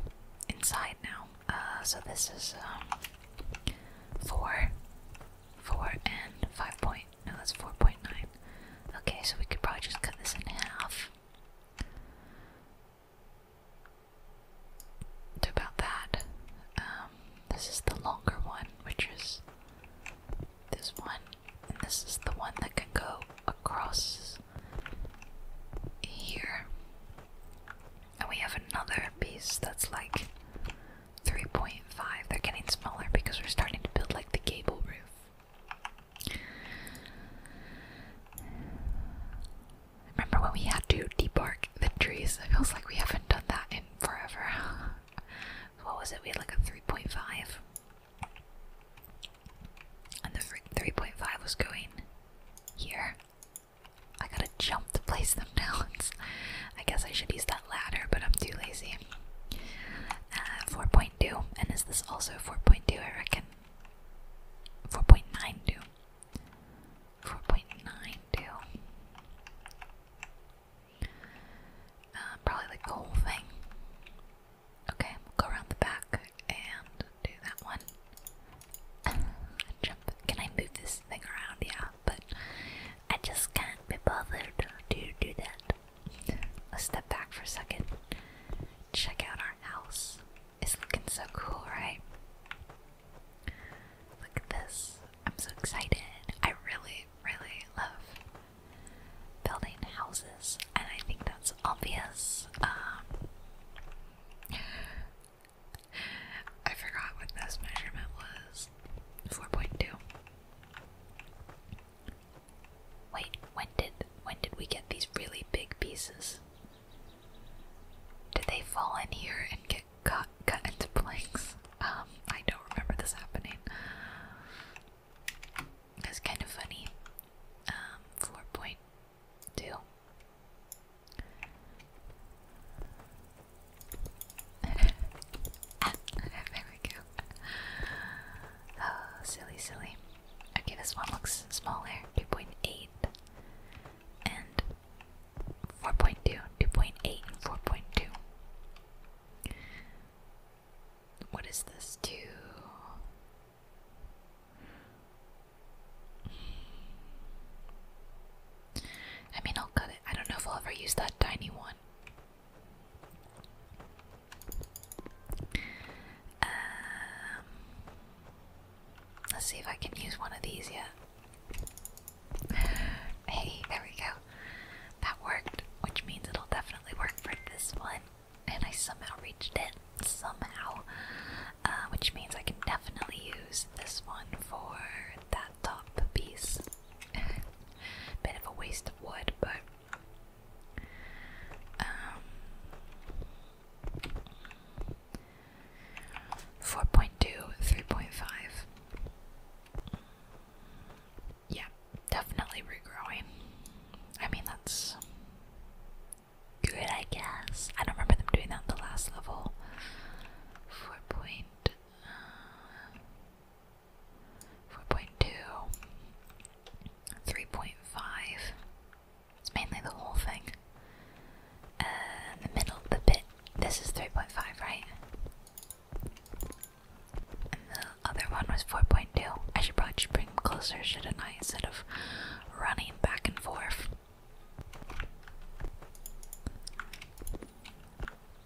Speaker 1: inside now. Uh, so this is um, four. 4 and 5 point, no that's 4.9. Okay, so we could probably just cut this in half. To about that. Um, this is the longer one, which is this one. And this is the one that can go across here. And we have another piece that's like 3.5. They're getting smaller because we're starting to build like the gable roof. Remember when we had to debark the trees? It feels like we haven't done that in forever. what was it? We had like a 3.5. And the 3.5 was going here. I gotta jump to place them now. It's, I guess I should use that ladder, but I'm too lazy. Uh, 4.2, and is this also 4.2? I reckon. 4.92. 4.92. Uh, probably like the whole thing. Okay, we'll go around the back and do that one. Jump. Can I move this? thing around, yeah, but I just can't be bothered to do that. Let's step back for a second. Check out our house. It's looking so cool, right? Look at this. I'm so excited. I really, really love building houses, and I think that's obvious. Um, I forgot what this measurement was. 4.2. Wait, when did when did we get these really big pieces? Did they fall in here and get cut cut into planks? Um, I don't remember this happening. That's kind of funny. Um, four point two. there we go. Oh, silly, silly. Okay, this one looks smaller 2.8 and 4.2, 2.8, and 4.2. What is this? 2. I mean, I'll cut I don't know if I'll ever use that tiny one. Um, let's see if I can use one of these yet. Hey, there we go. That worked, which means it'll definitely work for this one. And I somehow reached it, somehow. Uh, which means I can definitely use this one for that top piece. Bit of a waste of wood, but um, four point two, three point five. Yeah, definitely regrowing. I mean that's good I guess. I don't remember them doing that in the last level. Four point four point two, three point five. It's mainly the whole thing. Uh, the middle, the bit. This is three point five, right? And the other one was four point two. I should probably bring them closer, shouldn't I? Instead of running back and forth.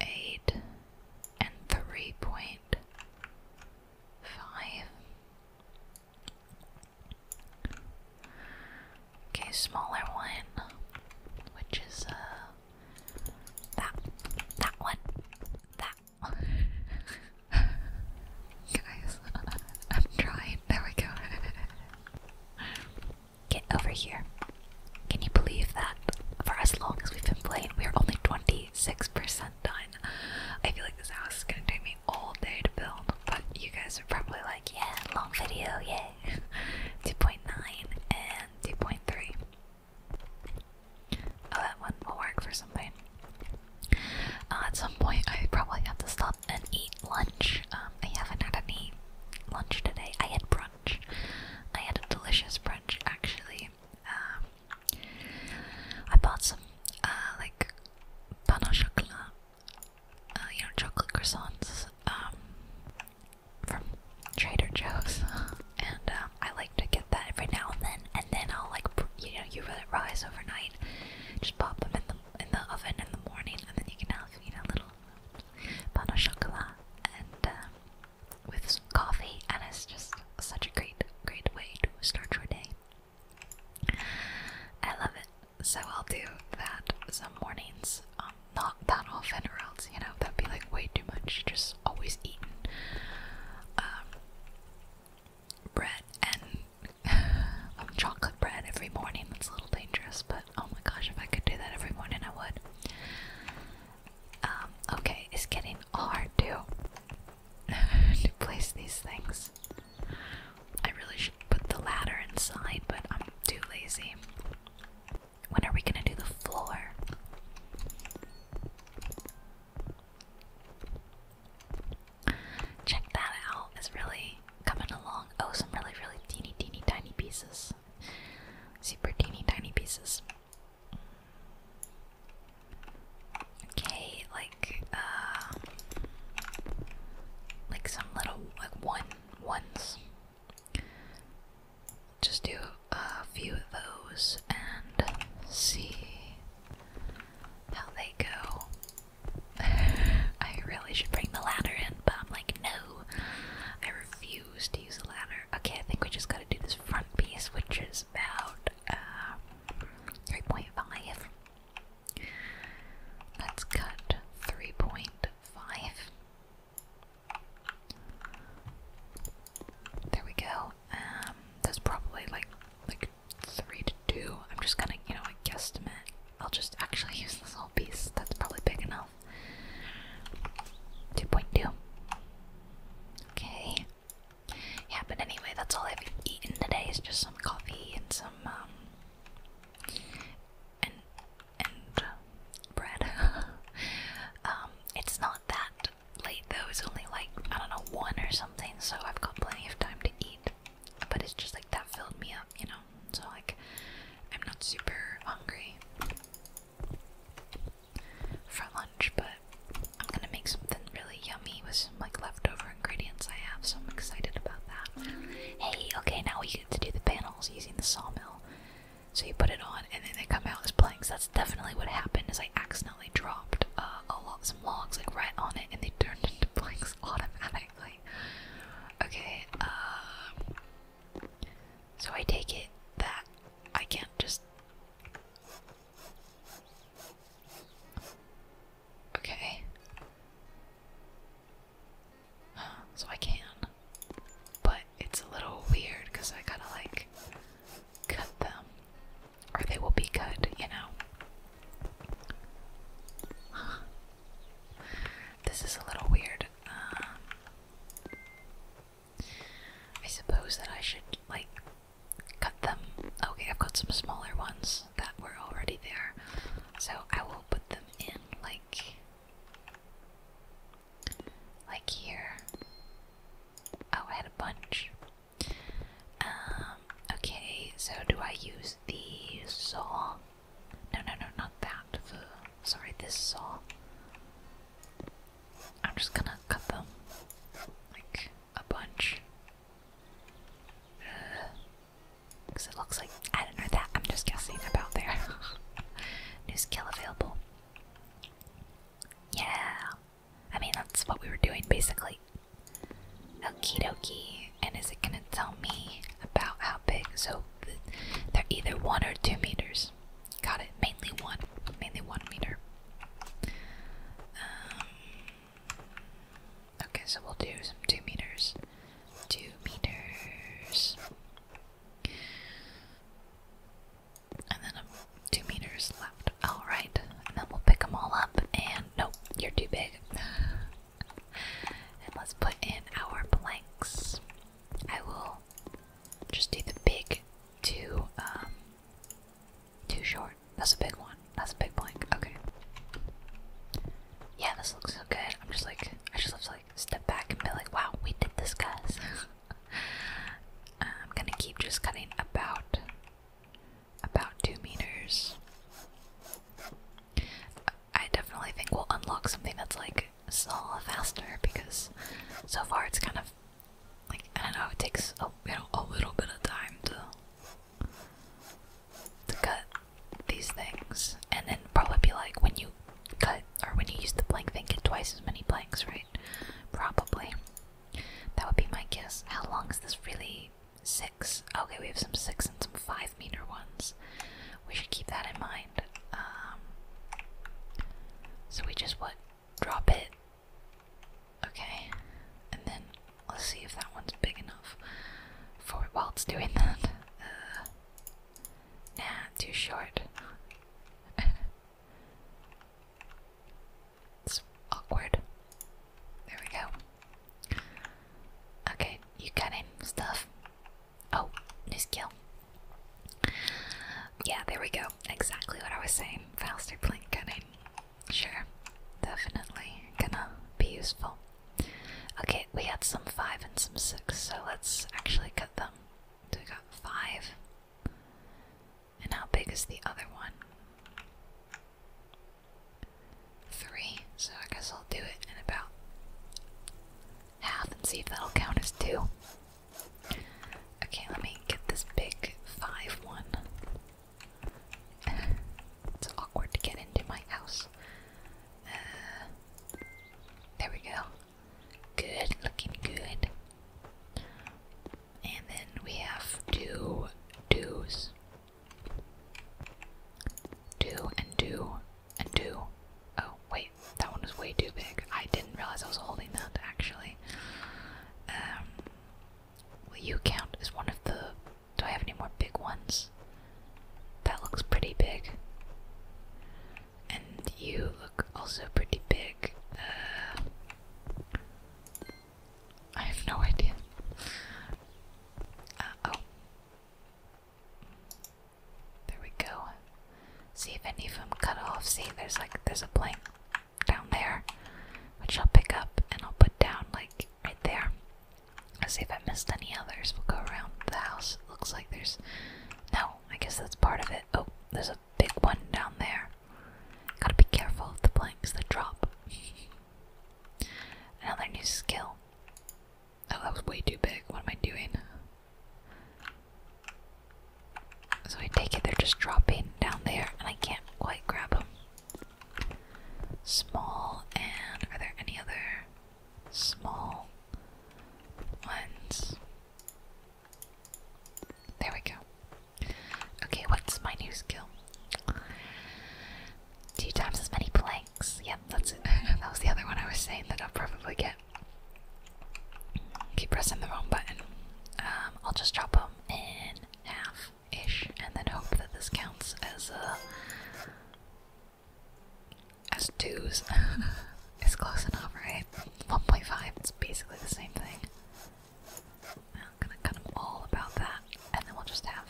Speaker 1: eight and three point five. Okay, smaller one, which is uh that that one, that Guys, I'm trying. There we go. Get over here. Can you believe that? For as long as we've been playing, we are only 26% done. I feel like this house is gonna take me all day to build, but you guys are probably like, yeah, long video, yay. 2.9 and 2.3. Oh, that one will work for something. Uh, at some point, I probably have to stop and eat lunch. Um, I haven't had any lunch today. I had brunch I had a delicious brunch actually. Um, I bought some uh, like pan au chocolat, uh, you know, chocolate croissants um, from Trader Joe's, and um, I like to get that every now and then. And then I'll like, you know, you let it rise overnight. Just pop them in the in the oven in the morning, and then you can have you know little pan au and um, with some coffee, and it's just such a great, great way to start your day. I love it, so I'll do that some mornings, um, not that often, or else you know that'd be like way too much. Just always eating um, bread and um, chocolate bread every morning. That's a little dangerous, but oh my gosh, if I could do that every morning, I would. Um, okay, it's getting hard to place these things. I really should put the ladder inside, but I'm too lazy. When are we gonna do the floor? Check that out. It's really coming along. Oh, some really, really teeny, teeny, tiny pieces super teeny tiny pieces. Okay, like uh, like some little like one ones. Just do a few of those and see how they go. I really should bring the ladder in, but I'm like, no, I refuse to use a ladder. Okay, I think we just gotta do this front piece, which is about uh, 3.5. Let's cut 3.5. There we go. Um, that's probably like like three to two. I'm just gonna, you know, like I'll just actually use this whole piece. That's probably big enough. 2.2. Okay. Yeah, but anyway, that's all I've eaten today is just some coffee and some, um, and, and uh, bread. Um, it's not that late though, it's only like, I don't know, one or something, so I've got plenty of time to eat. But it's just like that filled me up, you know? So, like, I'm not super hungry for lunch, but I'm gonna make something really yummy with some like leftover ingredients I have, so I'm excited about that. Hey, okay, now we get to do the panels using the sawmill. So you put it on, and then they come out as planks. That's definitely what happened. Is I accidentally dropped uh, a lot, some logs like right on it, and they turned into planks automatically. Okay, uh, so I take it that I can't just. Okay. So I can. But it's a little weird because I gotta like cut them. Or they will be cut, you know? This is a little weird. Um, I suppose that I should, like, cut them. Okay, I've got some smaller ones that were already there. So I will put them in, like, like here. Oh, I had a bunch. Um, okay, so do I use the saw? No, no, no, not that. Sorry, this saw. I'm just gonna cut them like a bunch. Because uh, it looks like I don't know that. I'm just guessing about there. New skill available. Yeah. I mean, that's what we were doing basically. Okie dokie. And is it gonna tell me about how big? So they're either one or two meters. Got it. Mainly one. Mainly one meter. Um, okay, so we'll do some two meters. Two meters. And then um, two meters left. Alright. And then we'll pick them all up. And nope, you're too big. and let's put in our blanks. I will just do the big too um too short. That's a big one. That's a big blank. Okay. Yeah, this looks so good. I'm just like I just have to like step back and be like, wow, we did this guys. I'm gonna keep just cutting about about two meters. I definitely think we'll unlock something that's like sell faster because so far it's kind of like I don't know it takes a, you know, a little bit of time to to cut these things and then probably be like when you cut or when you use the blank thing get twice as many blanks right probably that would be my guess how long is this really six okay we have some six and some five meter ones we should keep that in mind um, so we just what? Drop it. Okay, and then let's see if that one's big enough for while it's doing that. Uh, nah, too short. it's awkward. There we go. Okay, you got stuff. Oh, new skill. Yeah, there we go. Exactly what I was saying. Faster blink gunning. Sure, definitely gonna be useful. Okay, we had some five and some six, so let's actually cut them. So we got five. And how big is the other one? Three. So I guess I'll do it in about half and see if that'll count as two. Okay, let me get this big 5 1. it's awkward to get into my house. Uh, there we go. Good, looking good. And then we have two do's. Do and do and do. Oh, wait that one was way too big. I didn't realize I was holding that actually. Um, you count as one of the. Do I have any more big ones? That looks pretty big. And you look also pretty big. Uh, I have no idea. Uh, oh. There we go. See if any of them cut off. See, there's like there's a plank down there, which I'll pick up and I'll put down like right there. I'll see if I missed any others. We'll go around the house. looks like there's no. I guess that's part of it. Oh, there's a big one down there. Gotta be careful of the planks that drop. Another new skill. Oh, that was way too big. What am I doing? So I take it they're just dropping down there and I can't quite grab them. Small, and are there any other small ones? There we go. Okay, what's my new skill? Two times as many planks. Yep, that's it. that was the other one I was saying that I'll probably get. Keep pressing the wrong button. Um, I'll just chop them in half ish and then hope that this counts as uh, as twos. it's close enough, right? 1.5, is basically the same thing. I'm gonna cut them all about that, and then we'll just have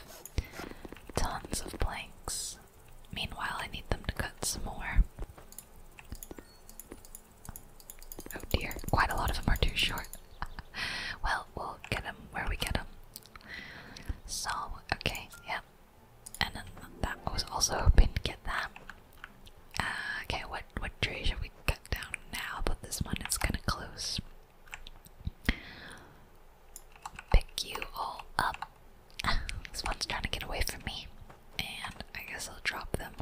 Speaker 1: tons of blanks. Meanwhile, I need them to cut some more. Oh dear, quite a lot of them are too short. well, we'll get them where we get them. So, okay, yeah. And then that I was also hoping to get that. Uh, okay, what what tree should we cut down now? But this one is gonna close. Pick you all up. this one's trying to get away from me and I guess I'll drop them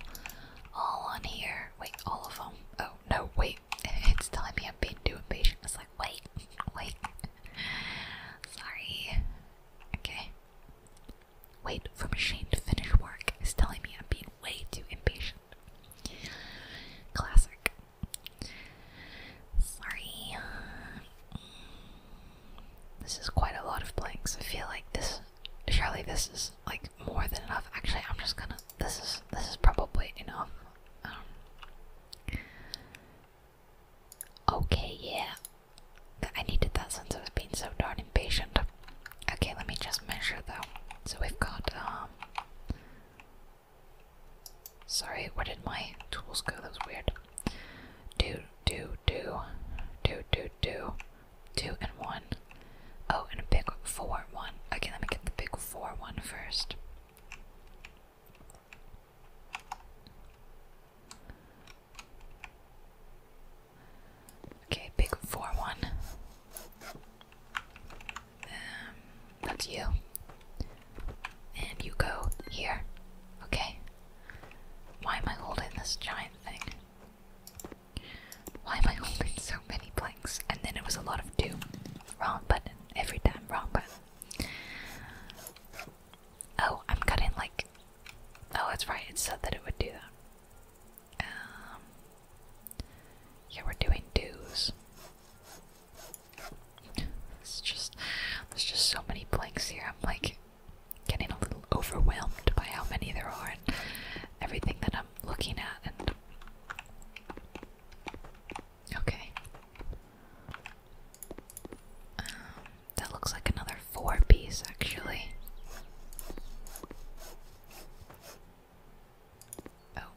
Speaker 1: all on here. Wait, all of them. Oh, no, wait. It's telling me I'm being too impatient. It's like, wait, wait. Sorry. Okay. Wait for machine to finish work It's telling me I'm being way too impatient. Classic. Sorry. This is quite a lot of blanks. I feel like this surely this is like more than enough. Actually, I'm just gonna. This is this is probably enough. Um, okay, yeah. I needed that since I was being so darn impatient. Okay, let me just measure though. So we've got um, Sorry, where did my tools go? That was weird. Do do two, two, two, two, two, and one. Oh, and a big four one. Okay, let me get the big four one first. Okay, big four one. Um, that's you. And you go here. Okay. Why am I holding this giant thing? Why am I holding so many blanks? And then it was a lot of do. Wrong button. Every time, wrong button. Oh, I'm cutting like. Oh, that's right, it said that it would do that. Um. Yeah, we're doing dues. It's just. There's just so many blanks here. I'm like getting a little overwhelmed by how many there are and everything that I'm looking at. And okay, um, that looks like another four piece actually. Oh,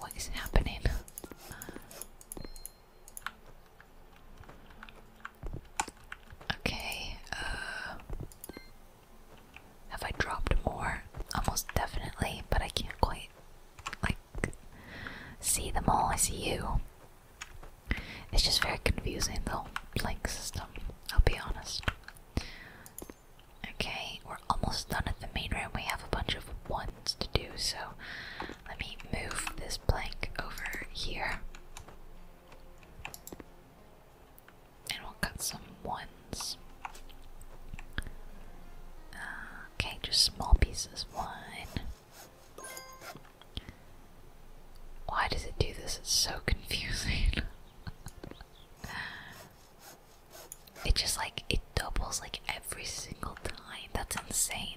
Speaker 1: what is happening? Okay, uh, Have I dropped more? Almost definitely, but I can't quite, like, see them all. I see you. It's just very confusing, the whole blank system, I'll be honest. Okay, we're almost done at the main room. We have a bunch of ones to do, so let me move this blank over here. And we'll cut some ones. Uh, okay, just small pieces. One. Why does it do this? It's so confusing. it just like it doubles like every single time. That's insane.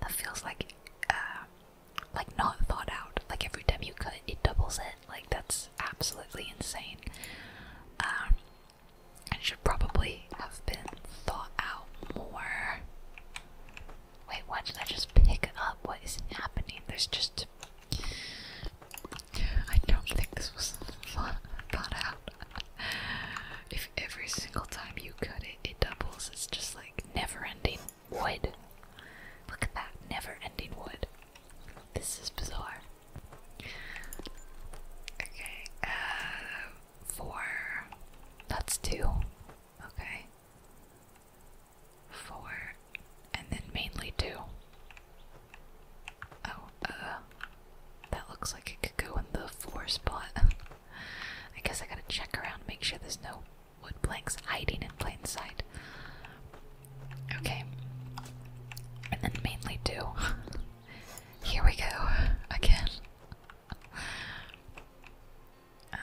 Speaker 1: That feels like uh, like not thought out. Like every time you cut, it doubles it. Like that's absolutely insane. Um, and should probably have been thought out more. Wait, what did I just pick up? What is happening? There's just. I don't think this was thought out. if every single time you cut it, it doubles, it's just like never ending. Wood. Look at that never ending wood. This is bizarre. Okay, uh, four. That's two. Okay. Four. And then mainly two. Oh, uh, that looks like it could go in the four spot. I guess I gotta check around, make sure there's no wood planks hiding in plain sight. Okay. And then mainly do. Here we go again. Um,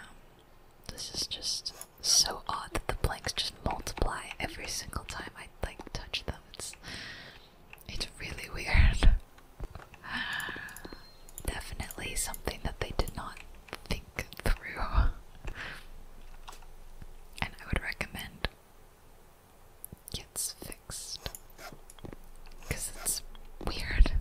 Speaker 1: this is just so odd that the planks just multiply every single time I like touch them. It's it's really weird. Definitely something that they did not think through. And I would recommend gets fixed because it's weird.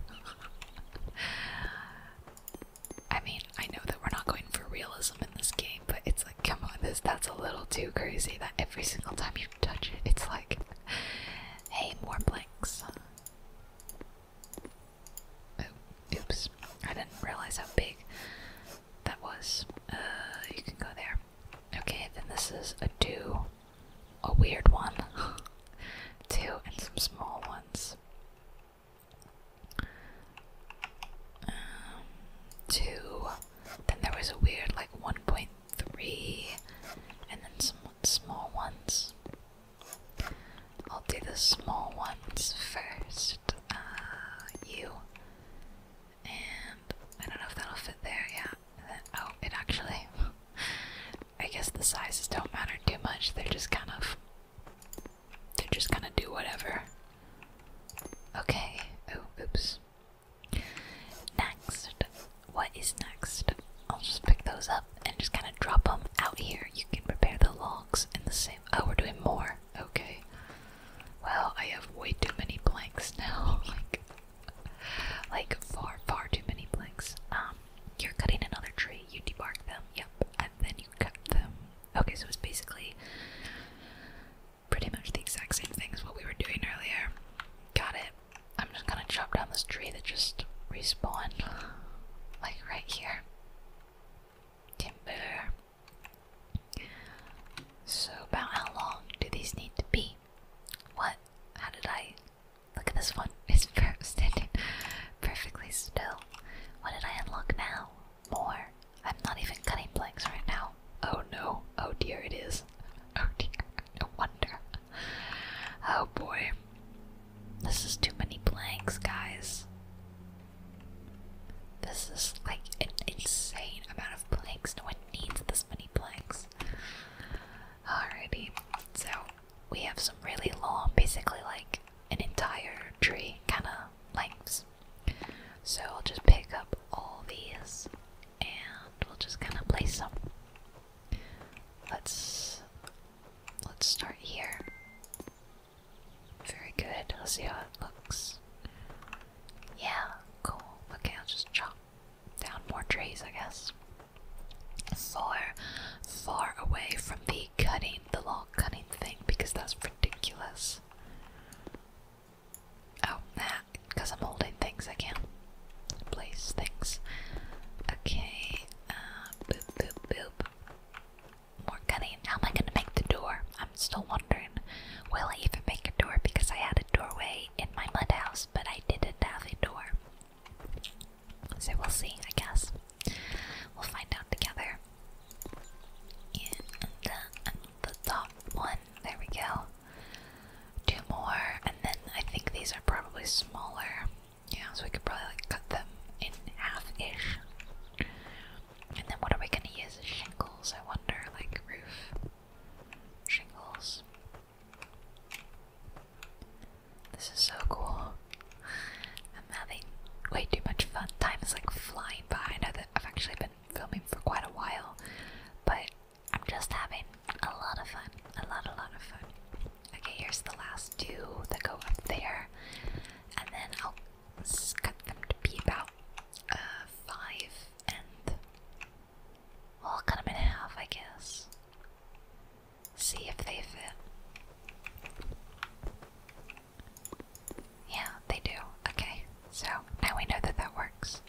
Speaker 1: I mean, I know that we're not going for realism in this game, but it's like, come on, this that's a little too crazy. That every single time you touch it, it's like, hey, more blanks. Oh, oops. I didn't realize how big that was. Uh, you can go there. Okay, then this is a two, a weird one, two, and some small ones. Um, two. Then there was a weird, like, 1.3, and then some small ones. I'll do the small ones first. Uh, you. And I don't know if that'll fit there, yeah. oh, it actually. I guess the sizes don't matter too much. They're just kind of. They're just gonna do whatever. Okay. Oh, oops. Next. What is next? I'll just pick those up and just kind of drop them out here. You can prepare the logs in the same. Oh, we're doing more. Okay. Well, I have way too many blanks now. like, like far, far too many blanks. Um, you're cutting another tree. You debark them. Yep, and then you cut them. Okay, so it's basically pretty much the exact same thing as what we were doing earlier. Got it. I'm just gonna chop down this tree that just respawned, like right here. Timber. So about how long do these need to be? What? How did I? Look at this one. It's standing perfectly still. What did I unlock now? More. I'm not even cutting blanks right now. Oh no. Oh dear, it is. Oh dear. No wonder. Oh boy. This is too many blanks, guys. This is like an insane amount of planks. No one needs this many planks. Alrighty, so we have some really long, basically like an entire tree kind of lengths. So I'll just pick up all these and we'll just kind of place them. Let's let's start here. Very good. I'll see how it looks. Yeah, cool. Okay, I'll just chop down more trees, I guess. Far, far away from the cutting, the log cutting thing, because that's ridiculous. Oh, that, because I'm holding things, I can't place things. Okay, uh, boop, boop, boop more cutting. How am I gonna make the door? I'm still wondering. Will I even make a door because I had a doorway in my mud house, but I didn't have a door. So we'll see, I guess. We'll find out together. And the top one, there we go. Two more, and then I think these are probably smaller. Yeah, so we could probably like cut them in half ish. And then what are we gonna use as shingles, I wonder? Like roof shingles. This is so cool. I'm having way too much fun. Time is like flying by. I know that I've actually been filming for quite a while, but I'm just having a lot of fun. A lot, a lot of fun. Okay, here's the last two that go up there. And then I'll let's cut them to be about uh, five and well, I'll cut them in half, I guess. See if they fit. Yeah, they do. Okay, so now we know that that works.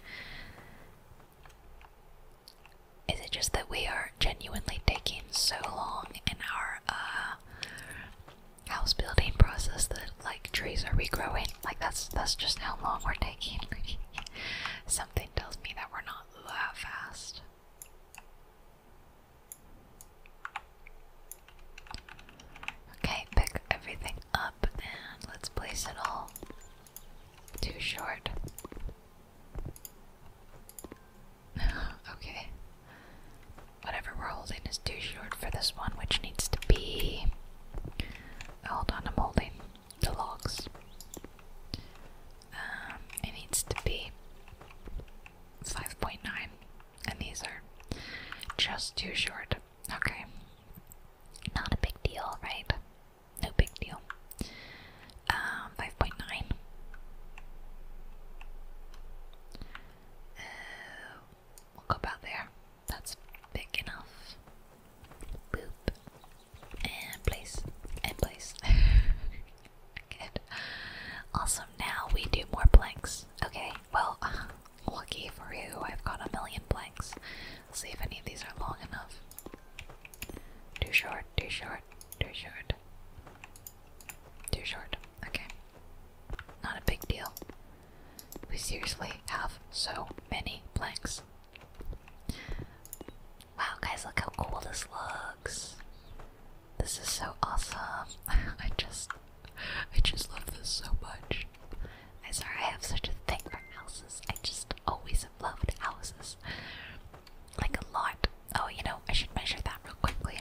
Speaker 1: Is it just that we are genuinely taking so long in our uh, house building process that like trees are regrowing. Like that's that's just how long we're taking. Something tells me that we're not that fast. Okay, pick everything up and let's place it all. Too short. okay. Whatever we're holding is too short for this one, which needs to be. Hold on, I'm the logs. Um, it needs to be 5.9, and these are just too short. Okay. Not a big deal, right? No big deal. Um, 5.9. We'll go about there. That's big enough. Boop. And place. And place. Good. Awesome. Now we do more blanks. Okay, well, lucky for you, I've got a million blanks. see if any of these are long enough. Too short, too short, too short. Too short. Okay. Not a big deal. We seriously have so many blanks. Wow, guys, look how cool this looks. This is so awesome. I just, I just love this so much. I'm sorry I have such a thing for houses. I just always have loved houses. Like a lot. Oh, you know, I should measure that real quickly.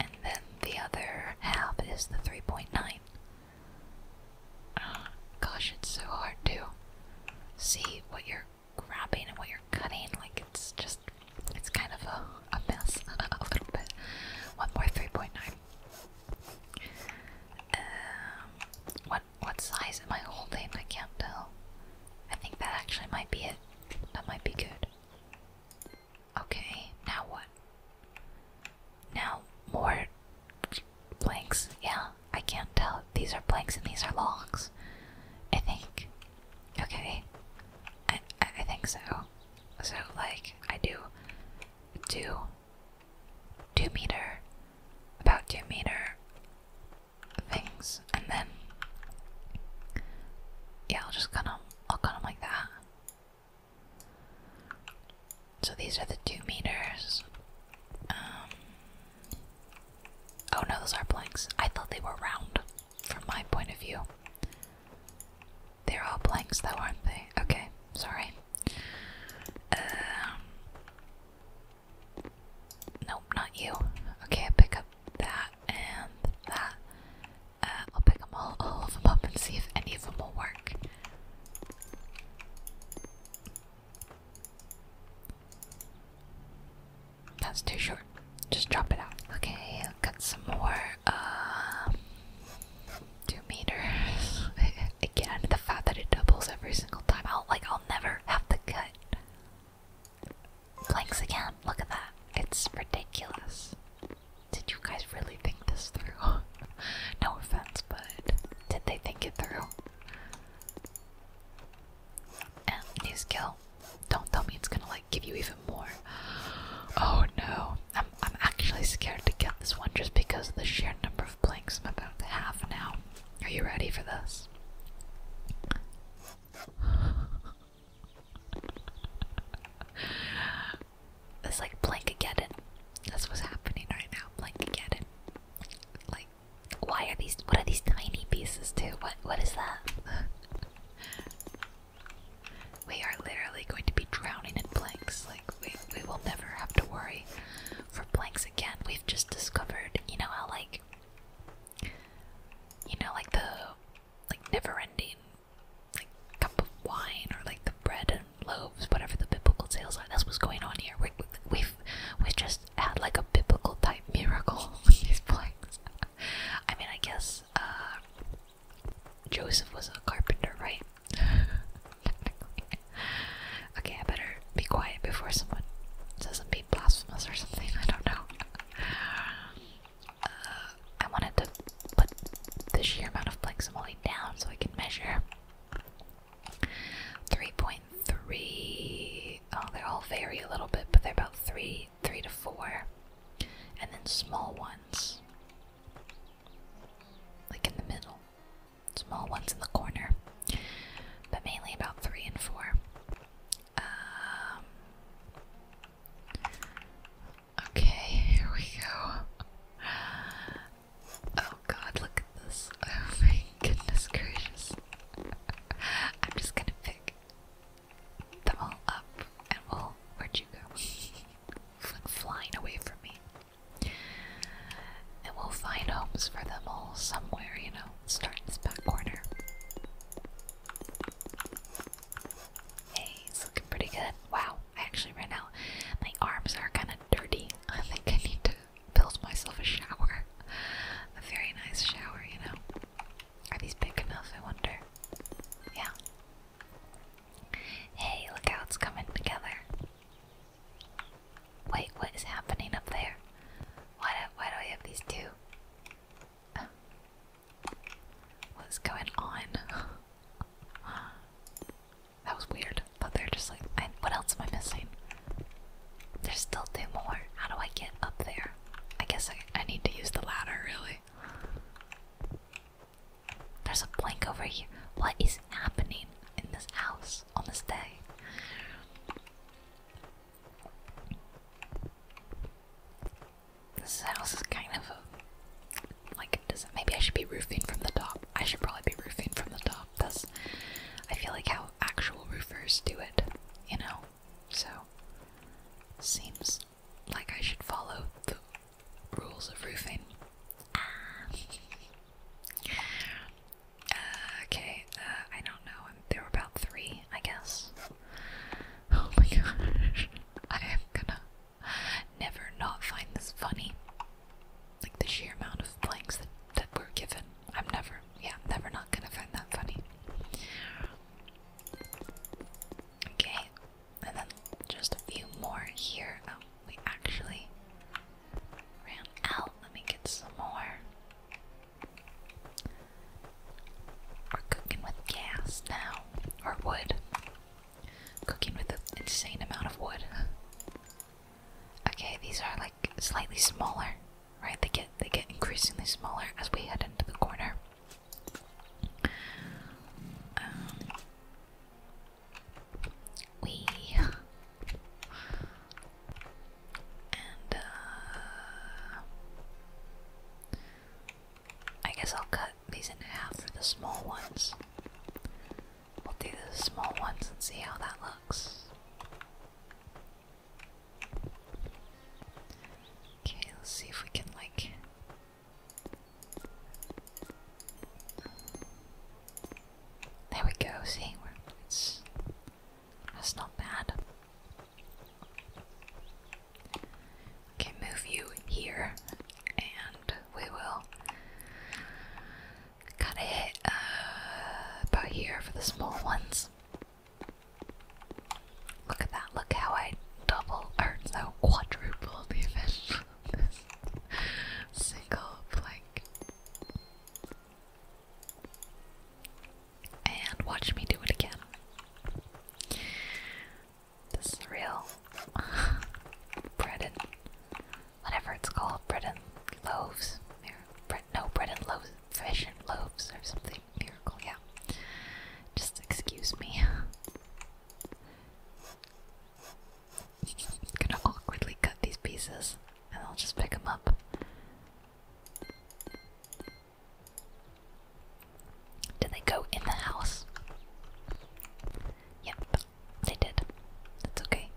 Speaker 1: And then the other half is the 3.9. Ah, gosh, it's so hard to see what you're grabbing and what you're cutting. Like, it's just, it's kind of a, a mess, a little bit. One more 3.9. Um, what, what size am I holding? I can't tell. I think that actually might be it. That might be good. Okay, now what? Now more planks. Yeah, I can't tell. These are blanks and these are logs. I think. Okay. I, I, think so. So, like, I do do two meter, about two meter things, and then, yeah, I'll just cut them, I'll cut them like that. So these are the two meters. Um, oh no, those are blanks. I thought they were round from my point of view. They're all blanks though, aren't they? Okay, sorry. Um, nope, not you. Okay, I pick up that and that. Uh, I'll pick them all, all of them up and see if any of them will work. That's too short. Just drop it out. Okay, cut some more. Uh, two meters. Again, the fact that it doubles every single time. I'll like I'll never have to cut planks again. Look at that. It's ridiculous did you guys really think this through? no offense, but did they think it through? new skill. Don't tell me it's gonna like give you even more. Oh no. I'm I'm actually scared to get this one just because of the sheer number of blanks I'm about to now. Are you ready for this? it's like again. That's what's happening right now. again. Like, why are these? What are these tiny pieces too? What? What is that? we are literally going to be drowning in blanks. Like, we we will never have to worry for blanks again. We've just discovered. You know how like. You know, like the like never-ending like a cup of wine or like the bread and loaves, whatever the biblical tales are. That's what's going on here. We, have we just had like a biblical type miracle with these planks. I mean, I guess uh, Joseph was a carpenter, right? okay, I better be quiet before someone says I'm or something. I don't know. I wanted to put the sheer amount of flexibility down so I can measure. 3.3, oh, they all vary a little bit, but they're about 3, 3 to 4. And then small ones, like in the middle. Small ones in the corner, but mainly about 3 and 4. Um, Okay, here we go. Oh god, look at this. Oh my goodness gracious. I'm just gonna pick them all up and we'll. Where'd you go? Flying away from me. And we'll find homes for them all somewhere, you know. Start in this back corner. Hey, it's looking pretty good. Wow. I actually right now my arms are kind of dirty. I think I need to build myself a shower. A very nice shower, you know. Are these big enough, I wonder? Yeah. Hey, look how it's coming together. Wait, what is happening up there? Why do, why do I have these two? What's going on? that was weird. But they're just like, what else am I missing? There's still two more. How do I get up there? I guess I, I need to use the ladder, really. There's a blank over here. What is happening in this house on this day? This house is kind of like does it, maybe I should be roofing from the top. I should probably be roofing from the top. That's I feel like how actual roofers do it, you know. So seems like I should follow the rules of roofing. Ah. okay, uh, I don't know. There were about three, I guess. Oh my gosh. I am gonna never not find this funny. Like the sheer amount of blanks that, that we're given. I'm never, yeah, I'm never not gonna find that funny. Okay, and then just a few more here. Oh, we actually ran out. Let me get some more. We're cooking with gas now, or wood. Cooking with an insane amount of wood. Okay, these are like slightly smaller, right? They get they get increasingly smaller as we head into the corner. Um, we and uh, I guess I'll cut these in half for the small ones. We'll do the small ones and see how that looks. Okay, let's see if we can, like. There we go, see? That's not bad. Can move you here, and we will cut it uh, about here for the small ones. Look at that! Look how I double or no quadruple the event. single plank. And watch me do it again. This is real. bread and whatever it's called, bread and loaves. Bread, no, bread and loaves, fish and loaves or something. Miracle, yeah. Just excuse me. gonna awkwardly cut these pieces and I'll just pick them up. Did they go in the house? Yep, they did. That's okay.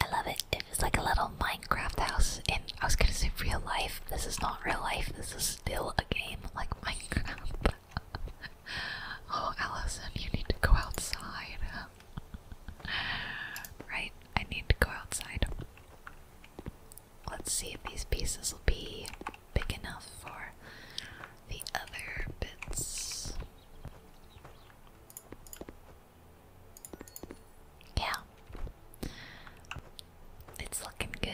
Speaker 1: I love it. It is like a little Minecraft house, and I was gonna say real life. This is not real life. This is still a game like Minecraft. oh, Allison, you need to go outside. right, I need to go outside. Let's see if these pieces will be big enough for the other bits. Yeah. It's looking good,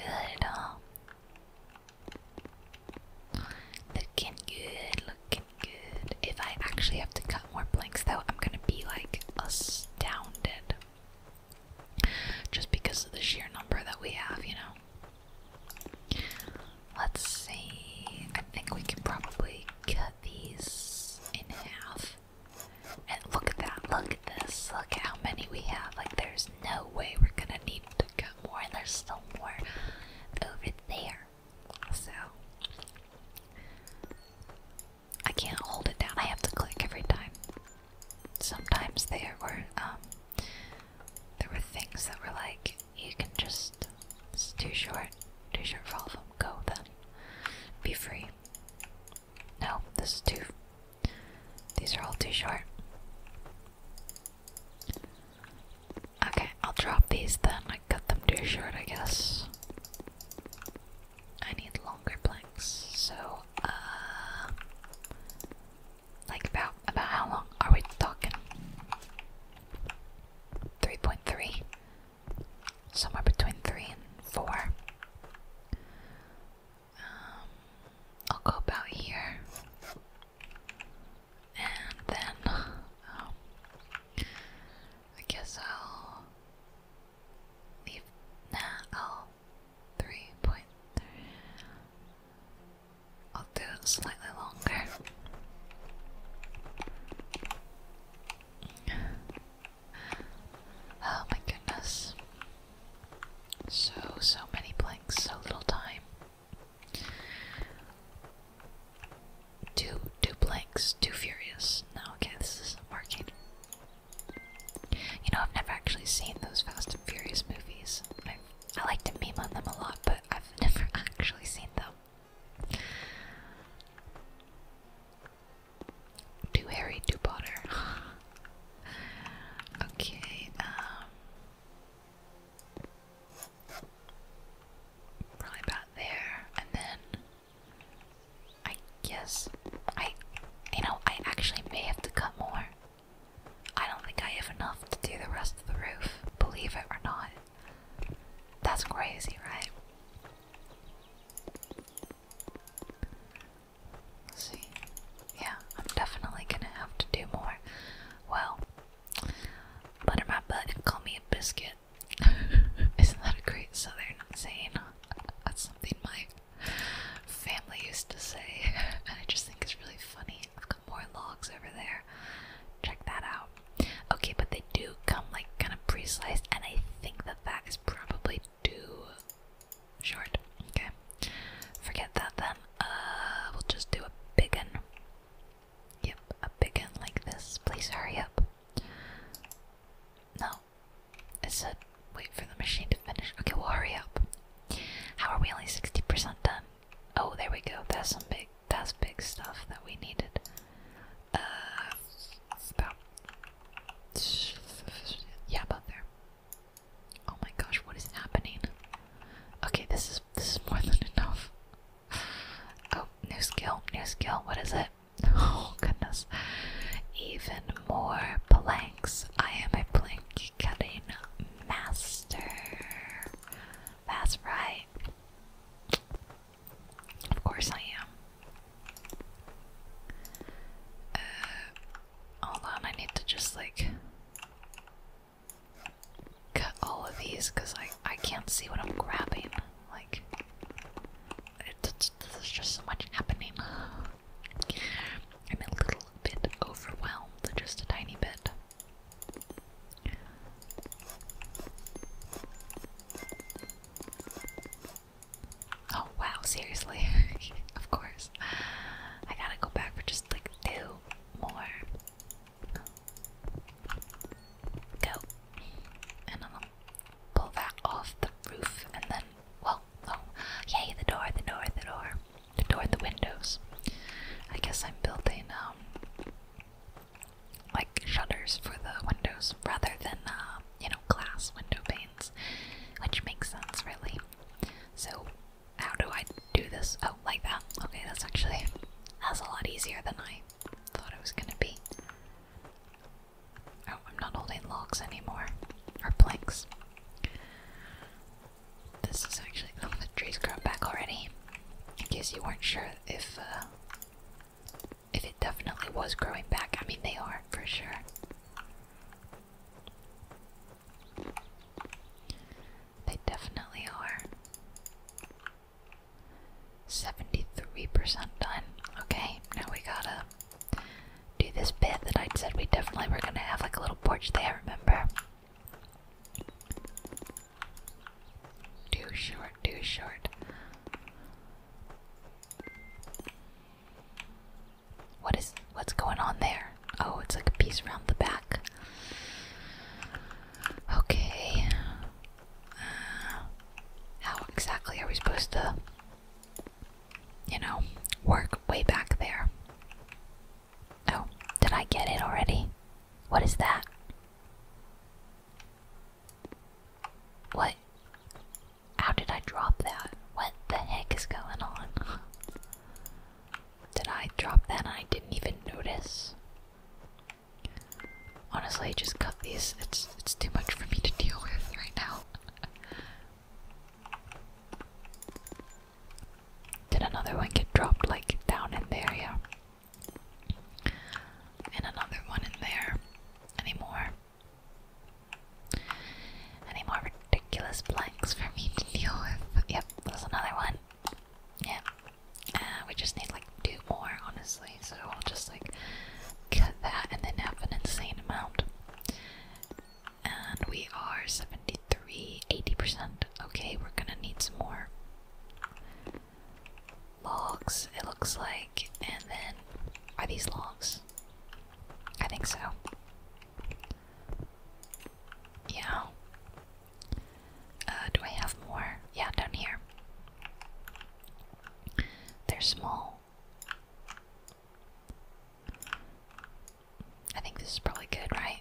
Speaker 1: Looking good, looking good. If I actually have to cut more planks, though, I'm gonna be like astounded. Just because of the sheer number that we have, you know? Let's see. I think we can probably cut these in half. And look at that. Look at this. Look at how many we have. Like, there's no way we're gonna need to cut more. There's still more over there. So, I can't hold it down. I have to click every time. Sometimes there were, um, there were things that were like, you can just, it's too short, too short for all of them, go then, be free. No, this is too, these are all too short. Okay, I'll drop these then, I cut them too short I guess. I need longer blanks, so, uh, like about about how long are we talking? 3.3 somewhere between 3 and 4 um, I'll go about here and then um, I guess I'll leave now 3.3 I'll do it slightly longer. Oh my goodness. So, so many blanks, so little time. Two, two blanks, too furious. No, okay, this is working. You know, I've never actually seen those Fast and Furious movies. I like to meme on them a lot, but I've never actually seen them. Too hairy, too Potter. okay, um, Probably about there, and then. I guess. I. You know, I actually may have to cut more. I don't think I have enough to do the rest of the roof, believe it or not. That's crazy, right? see. Yeah, I'm definitely gonna have to do more. Well, butter my butt and call me a biscuit. Isn't that a great southern saying? That's something my family used to say, and I just think it's really funny more logs over there. Check that out. Okay, but they do come like kind of pre-sliced, and I think that that is probably too short. Okay, forget that then. Uh, we'll just do a big one. Yep, a big one like this. Please hurry up. No, it said wait for the machine to finish. Okay, we'll hurry up. How are we only 60% done? Oh, there we go. That's some big. That's big stuff that we needed. Uh, yeah, about there. Oh my gosh, what is happening? Okay, this is this is more than enough. Oh, new skill, new skill. What is it? Oh goodness, even more planks. I am a plank cutting master. That's right. Of course I am. Uh, hold on, I need to just like cut all of these because I I can't see what I'm grabbing. Like, it, there's just so much happening. I'm a little bit overwhelmed, just a tiny bit. Oh wow, seriously? of course. I gotta go back for just like two more. Go. And I'll pull that off the roof and then well oh yay the door, the door, the door toward the windows. I guess I'm building um like shutters for the windows rather than uh, you know glass window panes, which makes sense really. So how do I do this? Oh, like that. Okay, that's actually that's a lot easier than I thought it was gonna be. Oh, I'm not holding logs anymore or planks. This is actually. Oh, the tree's grown back already. In case you weren't sure if, uh, If it definitely was growing back. I mean, they are, for sure. They definitely are. 73% done. Okay, now we gotta do this bit that I said we definitely were gonna have like a little porch there, remember? Too short, too short. What is what's going on there? Oh, it's like a piece around the back. Okay. Uh, how exactly are we supposed to, you know, work way back there? Oh, did I get it already? What is that? What? How did I drop that? What the heck is going on? did I drop that and I didn't even notice? Honestly, just cut these. It's it's too much for me to deal with right now. Did another one get dropped like down in there? Yeah. And another one in there. Any more? Any more ridiculous blanks for me to deal with? Yep, there's another one. Yep. Uh, we just need like two more, honestly. So I'll just like cut that and then have an insane amount. And we are 73, 80%. Okay, we're gonna need some more logs, it looks like. And then, are these logs? I think so. Yeah. Uh, do I have more? Yeah, down here. They're small. I think this is probably good, right?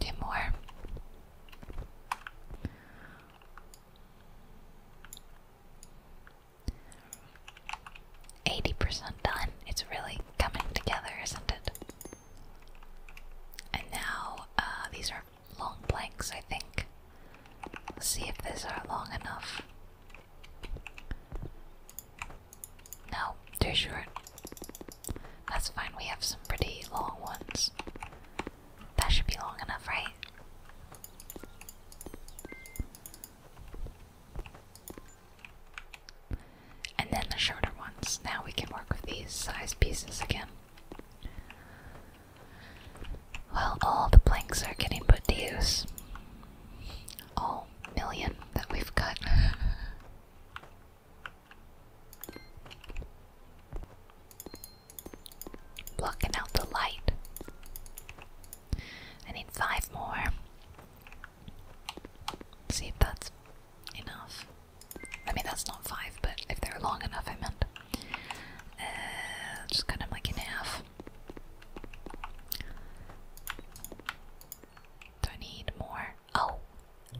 Speaker 1: Two more. Eighty percent done. It's really coming together, isn't it? And now uh, these are long blanks, I think. Let's see if these are long enough. No, they're short. That's fine, we have some pretty long ones. That should be long enough, right? And then the shorter ones. Now we can work with these size pieces again. Well, all the planks are getting put to use all million that we've cut. Blocking out the light. I need five more. See if that's enough. I mean, that's not five, but if they're long enough, I meant. Uh, just cut them like in do I need more? Oh,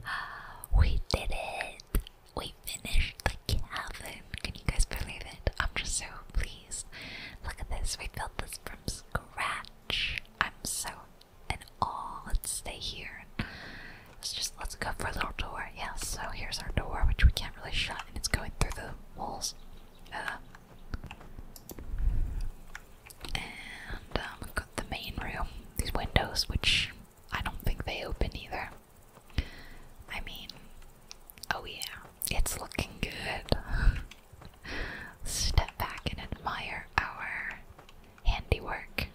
Speaker 1: uh, we did it! We finished the cabin. Can you guys believe it? I'm just so pleased. Look at this. We built this from scratch. I'm so in awe. Let's stay here. Let's just let's go for a little tour. Yeah. So here's our door, which we can't really shut, and it's going through the walls. Uh, and um, we've got the main room. These windows, which I don't think they open either. I mean, oh yeah, it's looking good. Step back and admire our handiwork.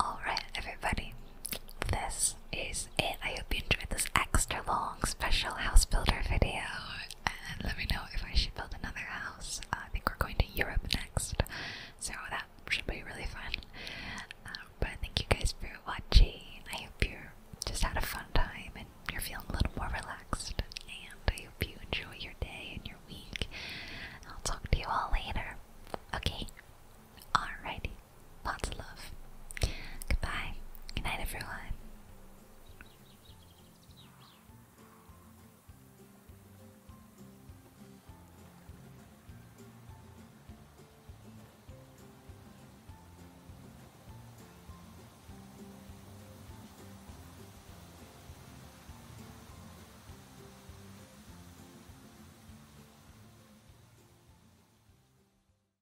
Speaker 1: Alright, everybody, this is it. I hope you enjoyed this extra long special house builder video. And let me know if I should build another house. I think we're going to Europe next, so that should be really fun. Uh, but thank you guys for watching. I hope you just had a fun time and you're feeling a little more relaxed. And I hope you enjoy your day and your week. I'll talk to you all later. Okay? Alrighty. Lots of love. Goodbye. Good everyone.